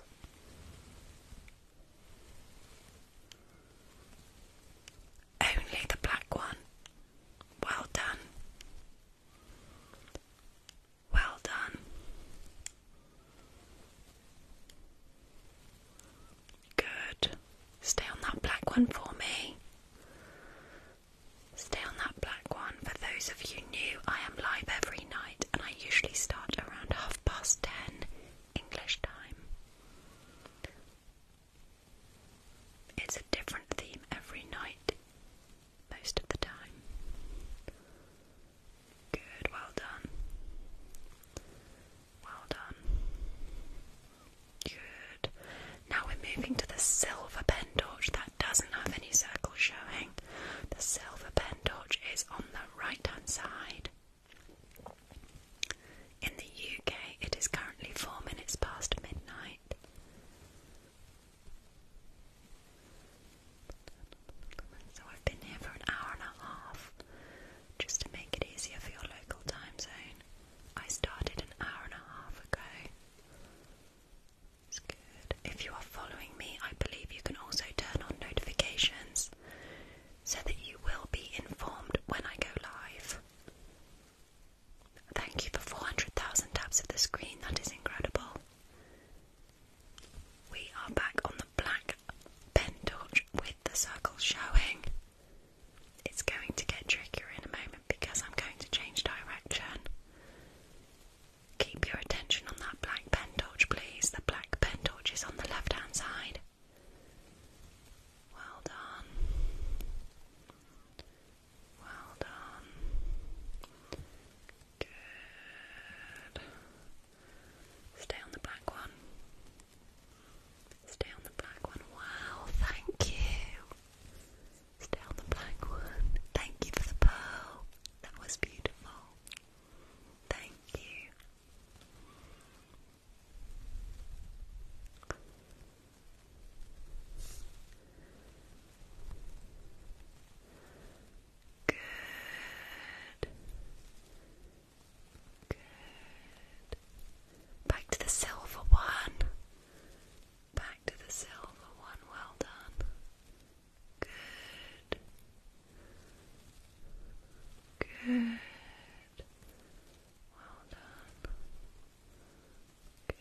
Only the black one. Well done. Well done. Good. Stay on that black one for me. Stay on that black one. For those of you new, I am live every night and I usually start around half past ten English time. It's a different theme every night, most of the time. Good, well done. Well done. Good. Now we're moving to the silver pen torch that doesn't have any circles showing. The silver pen torch is on the right hand side. In the UK, it is currently four minutes past midnight. So I've been here for an hour and a half. Just to make it easier for your local time zone, I started an hour and a half ago. It's good. If you are following me, I believe you can also turn on notifications so that you will be informed when I go live. Thank you for 400,000 taps of the screen, that is incredible. We are back on the black pen torch with the circle showing. It's going to get trickier in a moment because I'm going to change direction. Keep your attention on that black pen torch, please. The black pen torch is on the left hand side. Well done. Well done. Good. Stay on the black one. Stay on the black one. Wow, thank you. Stay on the black one. Thank you for the pearl. That was beautiful. Thank you. Good. Good. Back to the silver one. Back to the silver one. Well done. Good.
Good. Well done. Good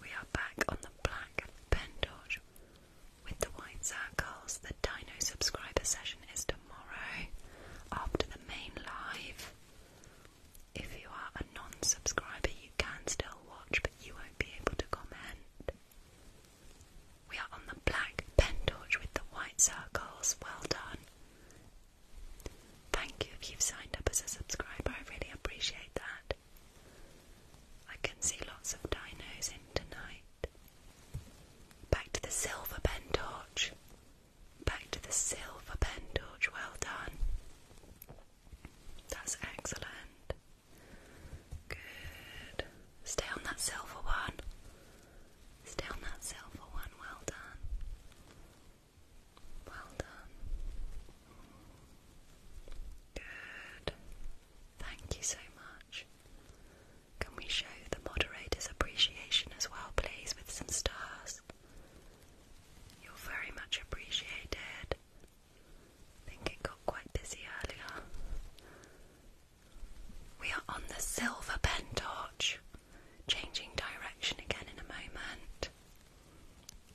we are back on the black pentorch with the white circles. The Dino subscriber session is tomorrow after the main live. If you are a non-subscriber, you can still watch, but you won't be able to comment. We are on the black pentorch with the white circles. Well done. Thank you if you've signed up as a subscriber, I really appreciate that. I can see lots of dinos in tonight. Back to the silver pen torch. Back to the silver pen torch. Well done. That's excellent. Good. Stay on that silver one. Stay on that silver one. Well done. Well done. Good. Thank you so much. Can we show the moderator's appreciation as well, please, with some stars? You're very much appreciated. I think it got quite busy earlier. We are on the silver pen torch, changing direction again in a moment.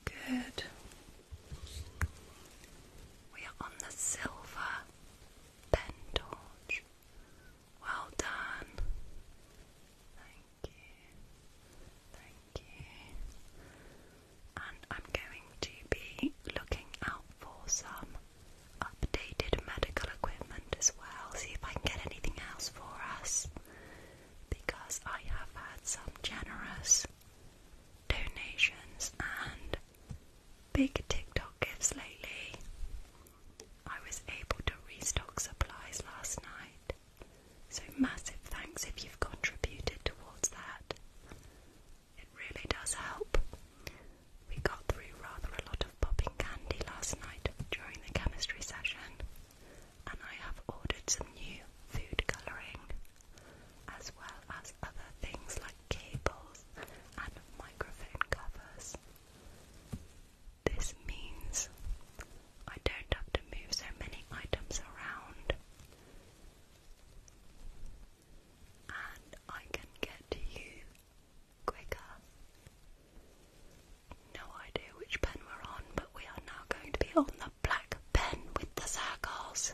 Good.
We are on the silver pen torch. Well done. Thank you. Thank you. And I'm going to be looking out for some updated medical equipment as well. See if I can get anything else for us. Because I have had some generous donations and big TikTok gifts lately. I was able to restock supplies last night, so massive thanks if you've contributed towards that. It really does help. We got through rather a lot of popping candy last night during the chemistry session, and I have ordered some new food colouring as well as other things like cables and microphone covers. This means I don't have to move so many items around and I can get to you quicker. No idea which pen we're on, but we are now going to be on the black pen with the circles.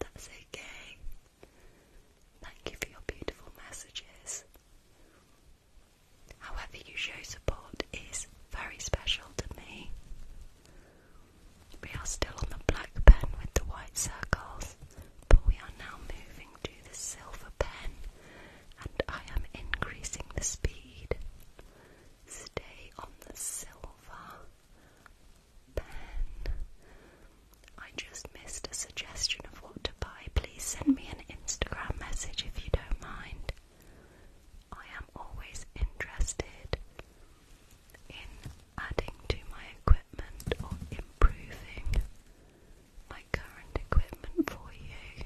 That's okay. Thank you for your beautiful messages. However, you show support is very special to me. We are still on the black pen with the white circles, but we are now moving to the silver pen, and I am increasing the speed. Stay on the silver pen. I just missed a suggestion of what to buy. Please send me an Instagram message if you don't mind. I am always interested in adding to my equipment or improving my current equipment for you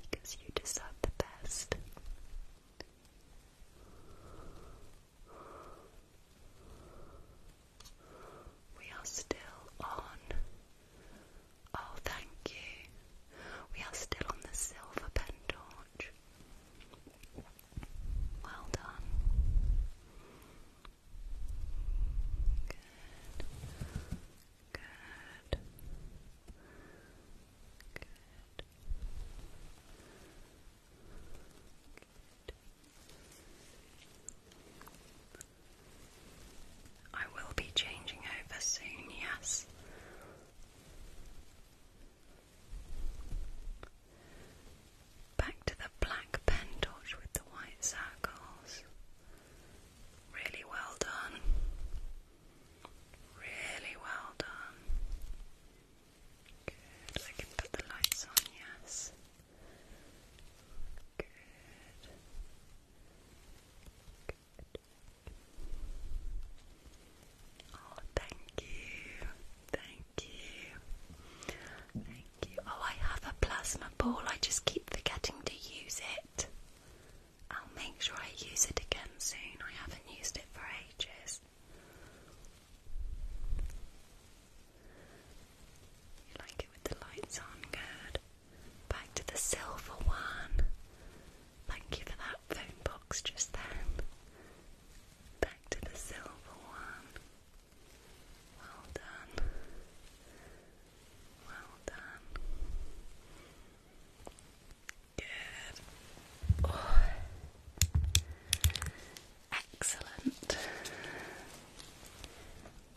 because you deserve the best. We are still on. Oh, thank you. We are still on the silver pentorch. Well done. Good. Good. I will be changing over soon, yes. Back to the black pen torch with the white circles. Really well done. Really well done. Good. I can put the lights on, yes. Good. Good. Oh, thank you. Thank you. Thank you. Oh, I have a plasma ball. I just keep forgetting to use it. I'll make sure I use it again soon. I haven't used it for ages.
You like it with the lights on? Good. Back to
the silver one. Thank you for that phone box just then. Back to the silver one. Well done. Well done. Good. Oh. Excellent.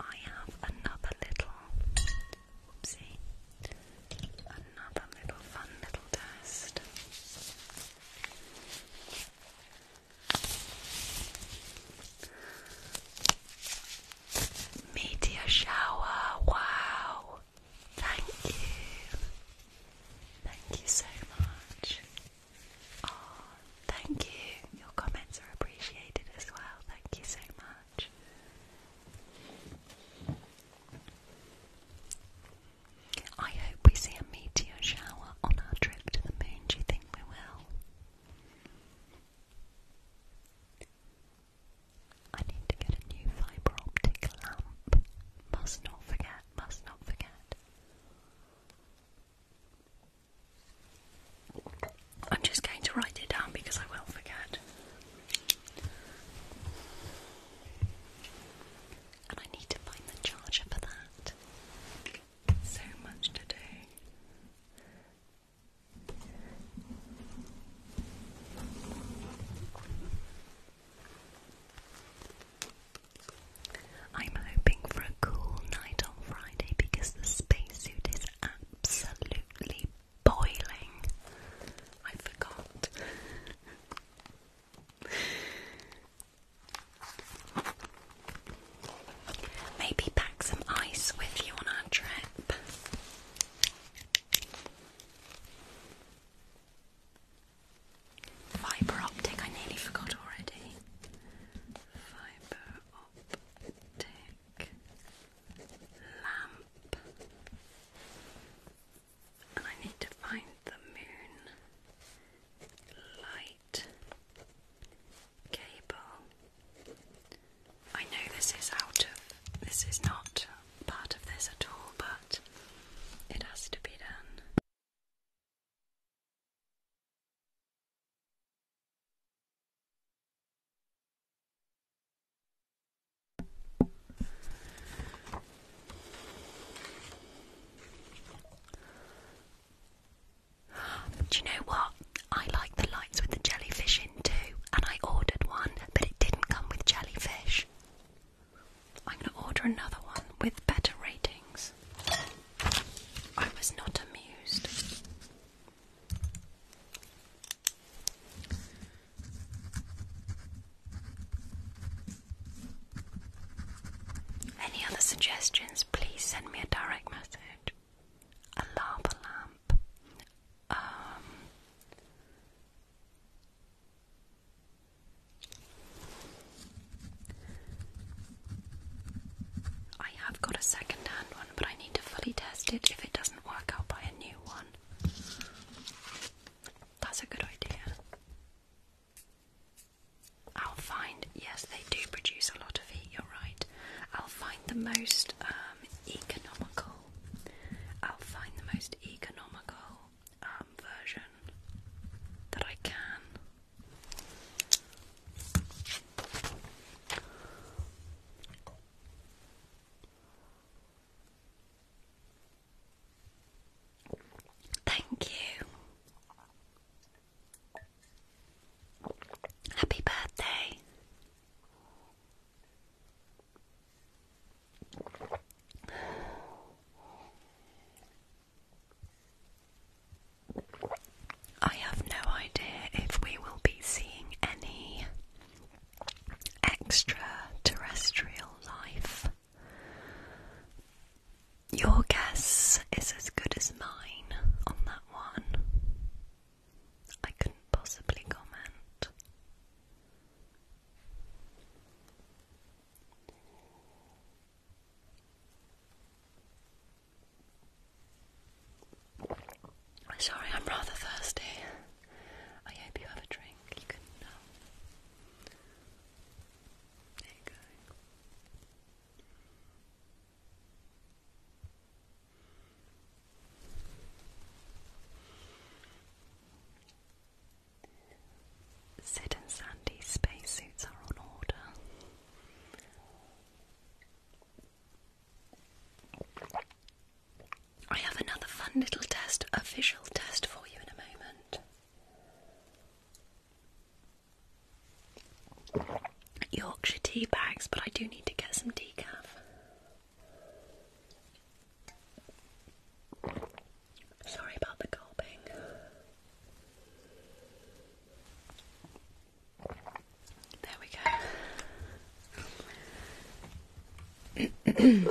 I have another little, oopsie, another little fun little test. Meteor shower, wow. Thank you. Thank you so much. thank you. Your comments are appreciated as well. Thank you so much. I hope we see a meteor shower on our trip to the moon. Do you think we will? I need to get a new fibre optic lamp. Must not forget, must not forget. I'm just going to write it down because I will forget. And I need to find the charger for that. So much to do. I'm hoping for a cool night on Friday because the spacesuit is absolutely boiling. I forgot. Maybe pack some ice with you on our trip. Fibre optic, I nearly forgot already.
Fibre optic lamp. And I need to find the moon light
cable. I know this is out of this is not part of
this at all, but it has to be done.
Do you know what? I like the lights with the jellyfish in too, and I ordered one, but it didn't come with jellyfish. I'm going to order another one with better ratings. I was not amused. Any other suggestions, please send me a direct message. A lava lamp. Um, I have got a second hand one, but I need to fully test it. If it doesn't work, i buy a new one. That's a good idea. I'll find, yes, they do produce a lot of heat, you're right. I'll find the most um, economical. I'll find the most economical um, version that I can. Thank you. Happy birthday. I have no idea if we will be seeing any extraterrestrial life. Your guess is as good as mine on that one. I couldn't possibly comment. Sorry, I'm rather thirsty. I hope you have a drink. You can. Um, there you go. Sid and Sandy's spacesuits are on order. I have another fun little test, a visual test for you in a moment. Yorkshire tea bags, but I do need to get some decaf. Sorry about the gulping.
There we go.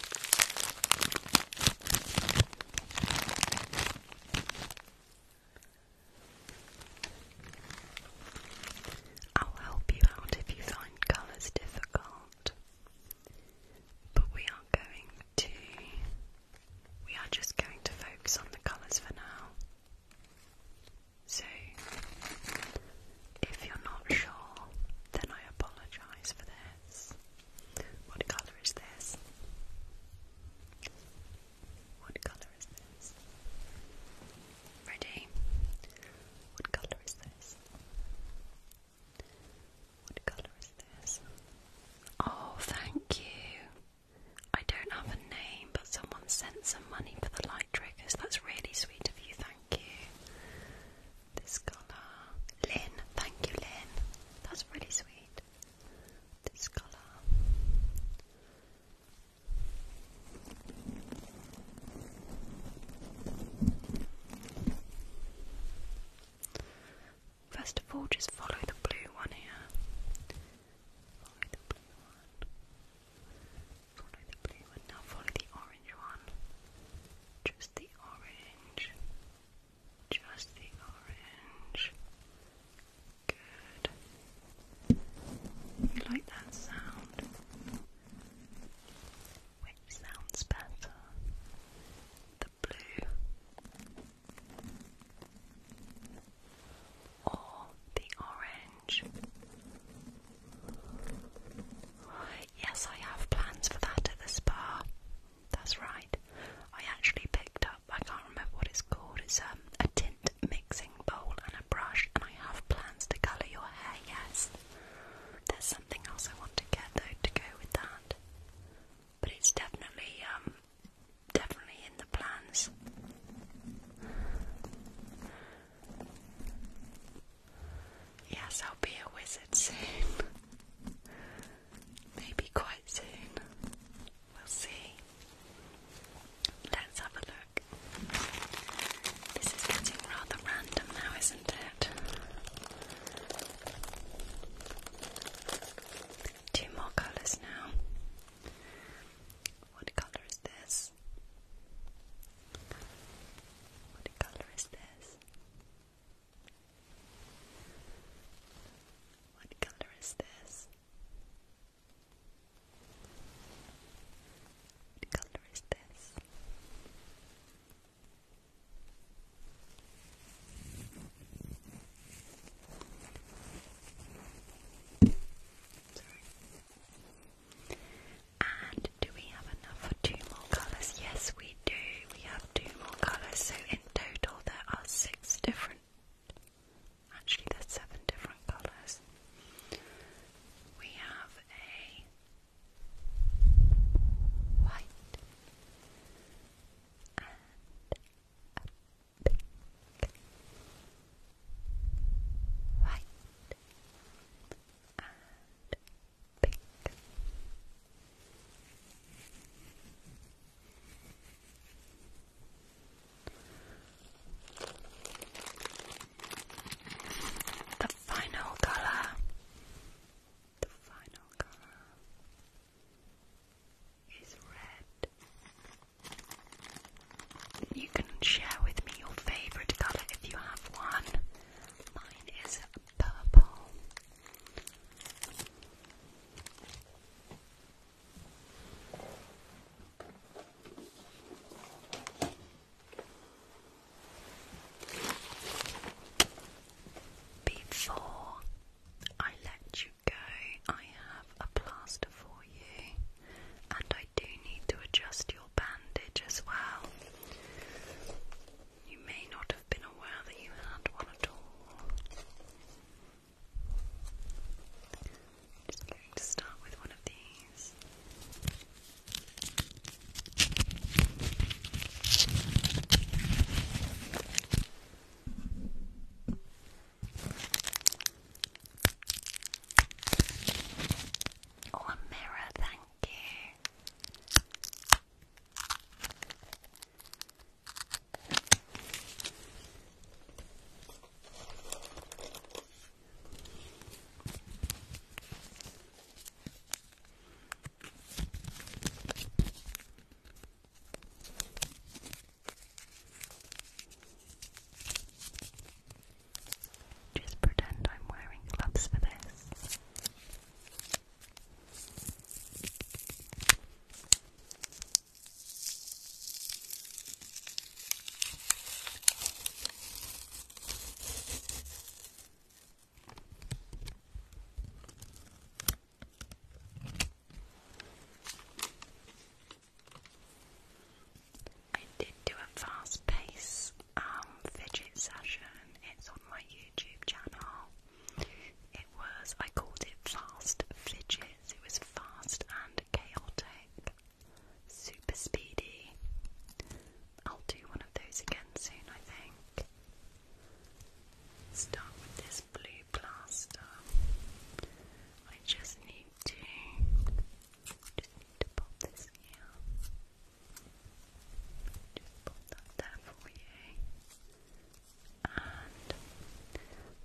I'll help you out if you find colours difficult. But we are going to. We are just going to focus on the colours for now. So, if you're not sure, then I apologise for this. What colour is this? What colour is this? Ready? What colour is this? What colour is this? Oh, thank you. I don't have a name, but someone sent some money for the light triggers. That's really sweet of you, thank you. This colour. Lynn, thank you, Lynn. That's really sweet. This colour. First of all, just follow the blue one here. Follow the blue one. Follow the blue one. Now follow the just the orange. Just the orange. Good. You like that sound? Which sounds better? The blue
or the orange?
Yes, I have plans for that at the spa. That's right. I actually picked up, I can't remember what it's called, it's um, a tint mixing bowl and a brush, and I have plans to colour your hair, yes. There's something else I want to get though to go with that. But it's definitely, um, definitely in the plans. Yes, I'll be a wizard soon. Maybe quite soon. We'll see. Let's have a look. This is getting rather random now, isn't it? Two more colours now. What colour is this? What colour is this? What color is this? What color is this? And do we have enough for two more colours? Yes, we do, we have two more colours, so in total there are six different, actually there's seven different colours. We have a white and a pink, white and the final color. The final color is red. You can share with me your favorite color if you have one. Mine is purple. Before I let you go, I have a plaster for you, and I do need to adjust your bandage as well. You may not have been aware that you had one at all. Just going to start with one of these. Oh, mirror, thank you. Just pretend I'm wearing gloves for this. I did do a fast pace um, fidget session. It's on my YouTube channel. It was, I called it Fast Fidgets. It was fast and chaotic, super speedy. I'll do one of those again soon, I think. Start with this blue plaster. I just need to, just need to pop this here. Just put that there for you. And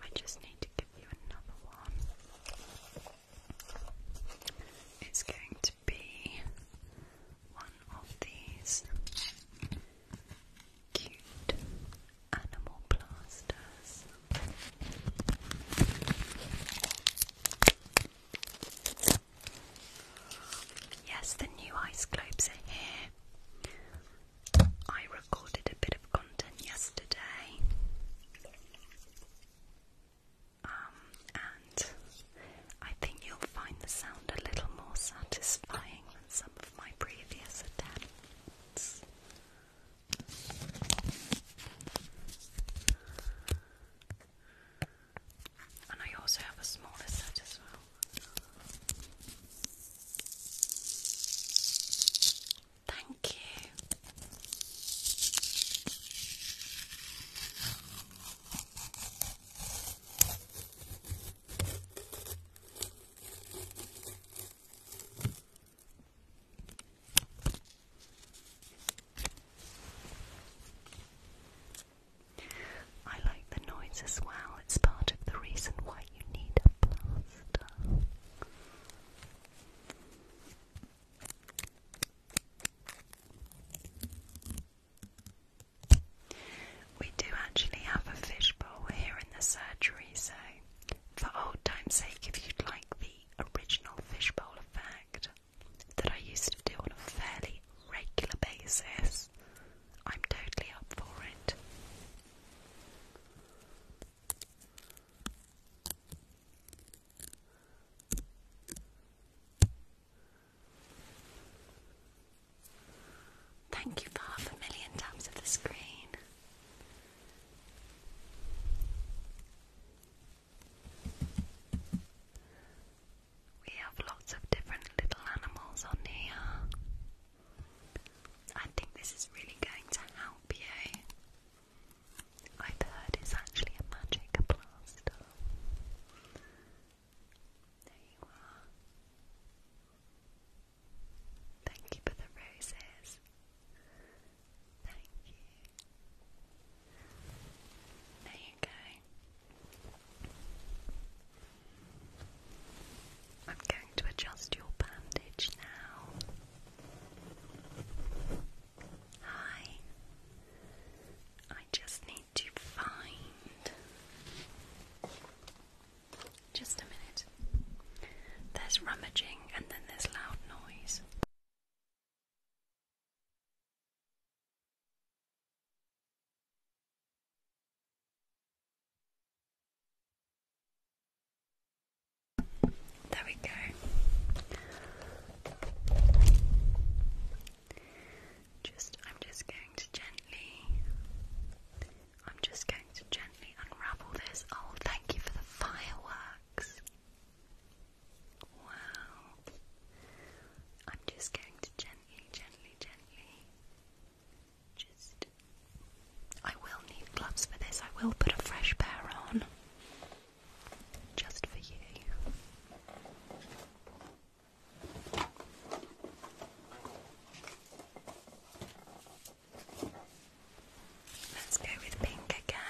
I just need to give you another one. It's going to be one of these cute animal plasters. Yes, the new ice globes are here. I recorded a bit of content yesterday. Um, and I think you'll find the sound a little more satisfying than some of my previous attempts. And I also have a smaller set as well. Thank you. I like the noise as well, it's part of the reason why you need a plaster. We do actually have a fishbowl here in the surgery, so for old time's sake, if you'd like the original fishbowl effect that I used to do on a fairly regular basis, I'm totally up for it. Thank you for half a million taps of the screen. We have lots of different little animals on here. I think this is really going to help you. I've heard it's actually a magic plaster. There you are. Thank you for the roses.
Thank you. There
you go. I'm going to adjust your bandage now. Hi. I just need to find. Just a minute. There's rummaging and then there's loud noise. There we go. Just, I'm just going to gently, I'm just going to gently unravel this. Oh, thank you for the fireworks. Wow. I'm just going to gently, gently, gently just. I will need gloves for this. I will put a fresh pair on. Just for you. Let's go with pink again.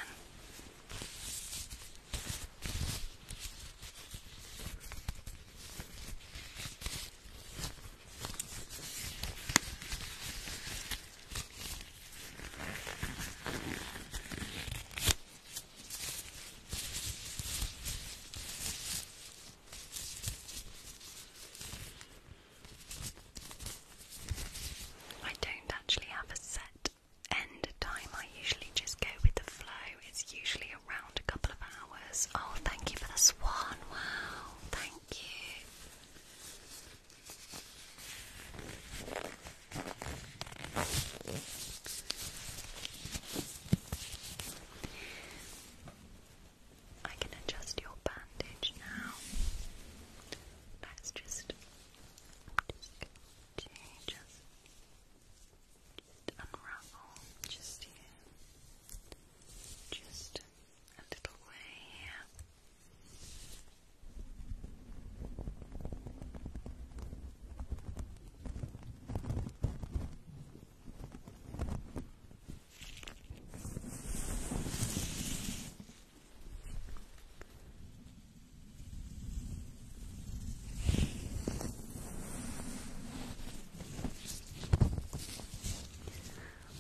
I don't actually have a set end time, I usually just go with the flow. It's usually around a couple of hours. Oh, thank you for the swan. Wow, thank you.
I can adjust your bandage now. Let's just, just just unravel just here. Just a little way here.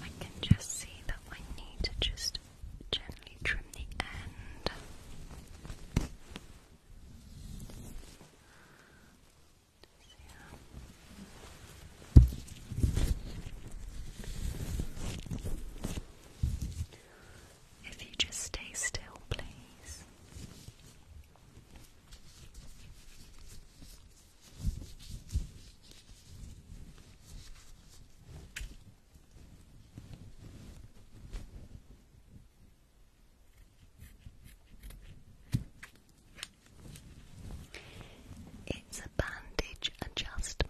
I can just see that I need to just gently trim the end. If you just stay still, please.
It's a bandage adjustment.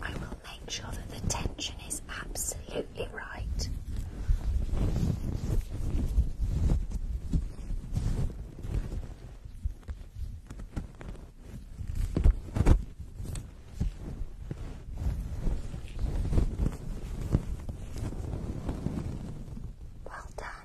I will make sure that the tension is absolutely right. Well done.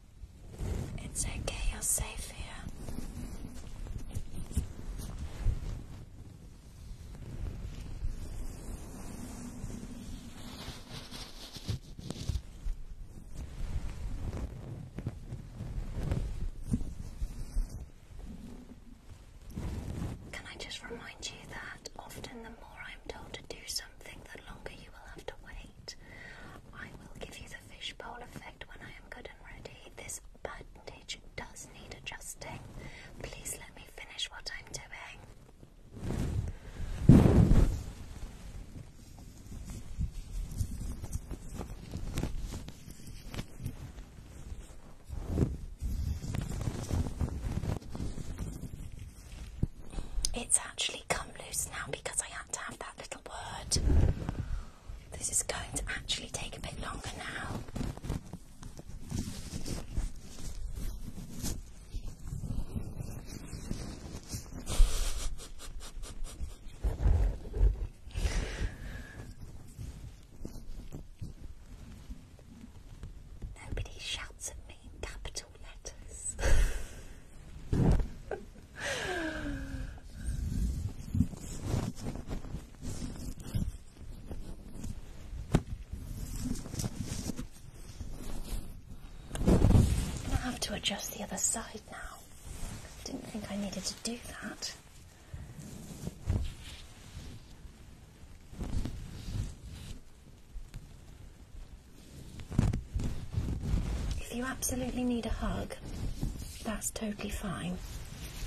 It's okay, you're safe here. Can I just remind you that often the more I'm told to do something, the longer you will have to wait? I will give you the fishbowl effect when I am good and ready. This bandage
does need adjusting. Please let me finish what I'm doing.
It's actually come loose now because I had to have that little word. This is going to actually take a bit longer now. Nobody shouts at me, capital. I have to adjust the other side now. Didn't think I needed to do that. If you absolutely need a hug, that's totally fine.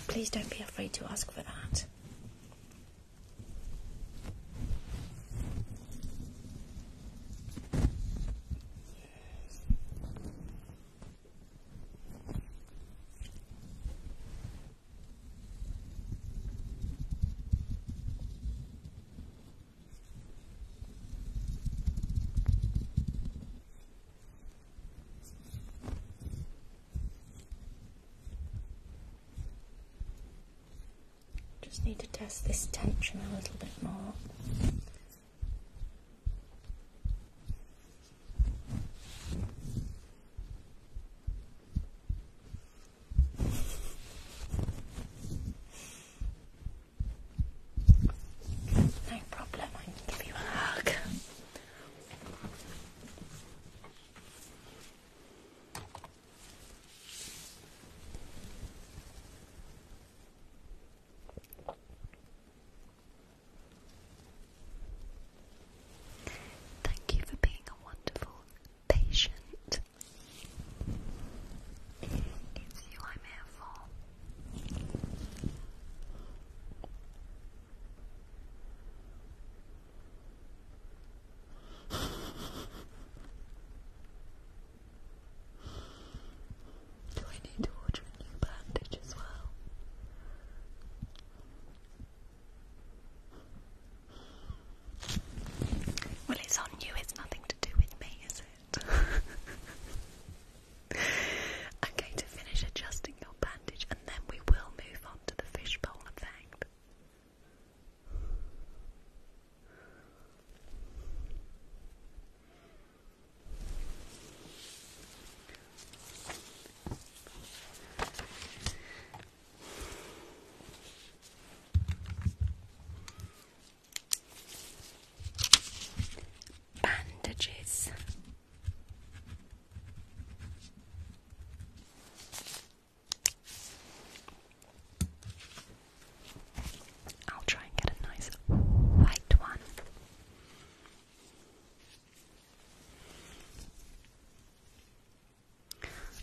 Please don't be afraid to ask for that. Just need to test this tension a little bit more. No problem, I can give you a hug. Thank you for being a wonderful patient it's you I'm here for. Do I need to order a new bandage as well? Well, it's on you, it's nothing to do with me, is it? I'm going to finish adjusting your bandage and then we will move on to the fishbowl effect bandages. I'll try and get a nice white one.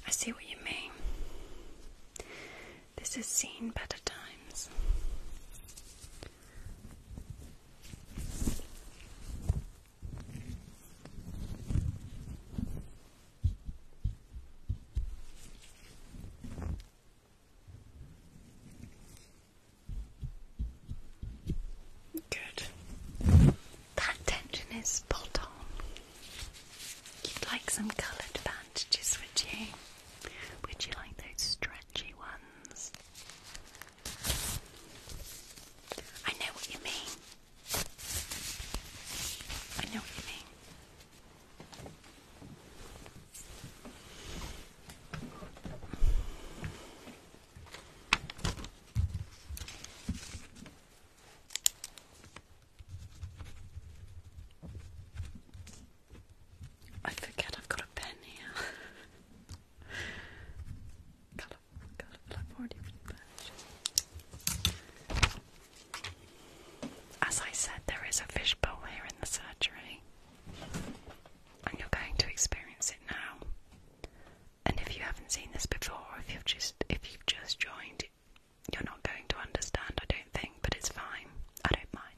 I see what you mean. This has seen better times. Good. That tension is spot on. You'd like some coloured bandages, would you? Would you like those stretchy ones? I know what you mean. I know what you mean. I forget I've got a pen here. As I said, there is a fishbowl here in the surgery, and you're going to experience it now. And if you haven't seen this before, if you've just if you've just joined, you're not going to understand, I don't think, but it's fine. I don't mind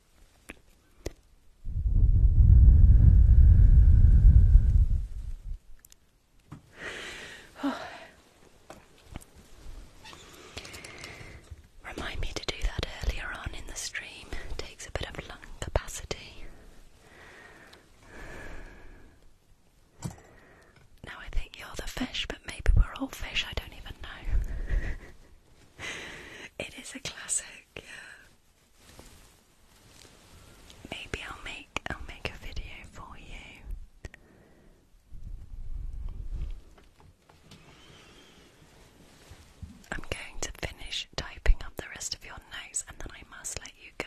Remind me to do that earlier on in the stream. takes a bit of lung capacity. Now I think you're the fish, but maybe we're all fish, I don't even know. it is a classic, Maybe I'll make I'll make a video for you. I'm going to finish typing up the rest of your notes and then I must let you go.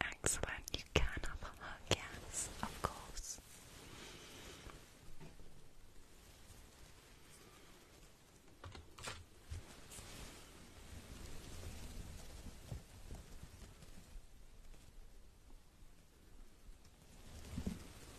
Excellent, you can have a hug, of course.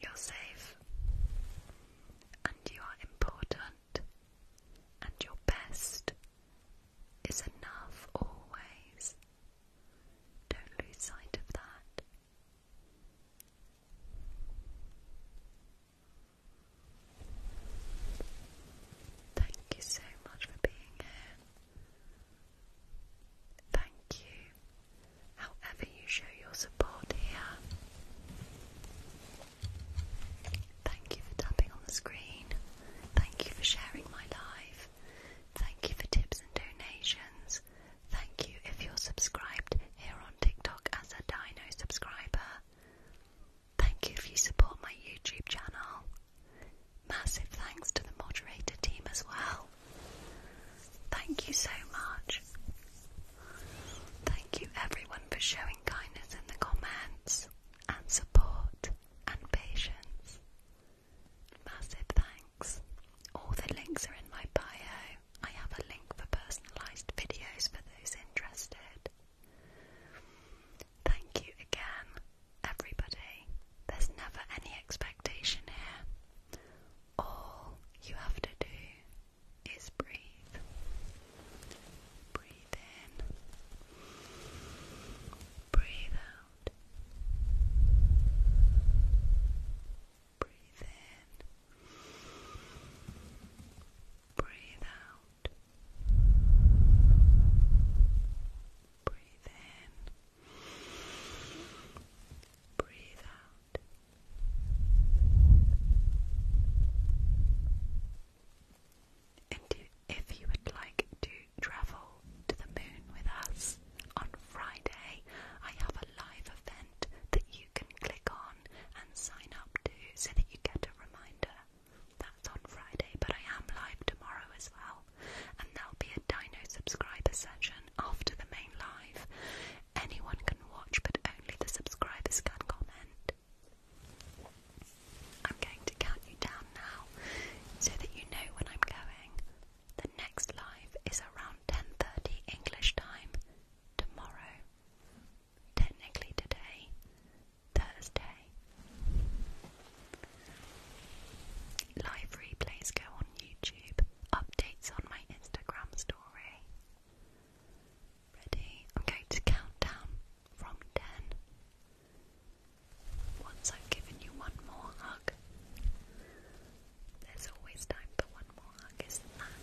You're safe, and you are important, and your best is enough always. Don't lose sight of that. Thank you so much for being here. Thank you, however, you show your support here. Thank you for tapping on the screen. Thank you for sharing my life. Thank you for tips and donations. Thank you if you're subscribed here on TikTok as a Dino subscriber. Thank you if you support my YouTube channel. Massive thanks to the moderator team as well. Thank you so much. Thank you everyone for showing kindness in the comments and support and patience. Massive thanks. All the links are in my bio. I have a link for personalised videos for those interested. Thank you again, everybody. There's never any expectation here. All you have to do is breathe. Breathe in, breathe out. Breathe in, breathe out. Breathe in. Breathe out. And if you would like to travel to the moon with us on Friday, I have a live event that you can click on and sign up to so that you get a reminder that's on Friday, but I am live tomorrow as well. And there'll be a Dino subscriber session after the main live. Anyone can watch, but only the subscribers can comment. I'm going to count you down now so that you know when I'm going. The next live is around 10:30 English time tomorrow. Technically today, Thursday, Live replays go on YouTube. Updates on my Instagram story. Ready? I'm going to count down from 10. Once I've given you one more hug, there's always time for one more hug, isn't there?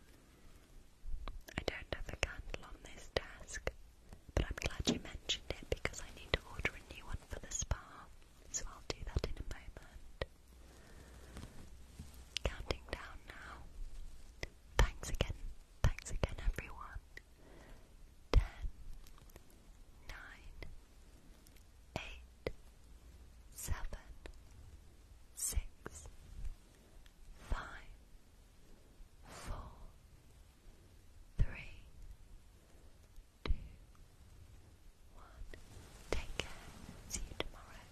I don't have a candle on this desk, but I'm glad you mentioned it because I need to order a new one for the spa, so I'll do that in a moment. Counting down now. Thanks again, thanks again, everyone. Ten, nine, eight seven, six, five, four, three, two, one. Take care. See you tomorrow.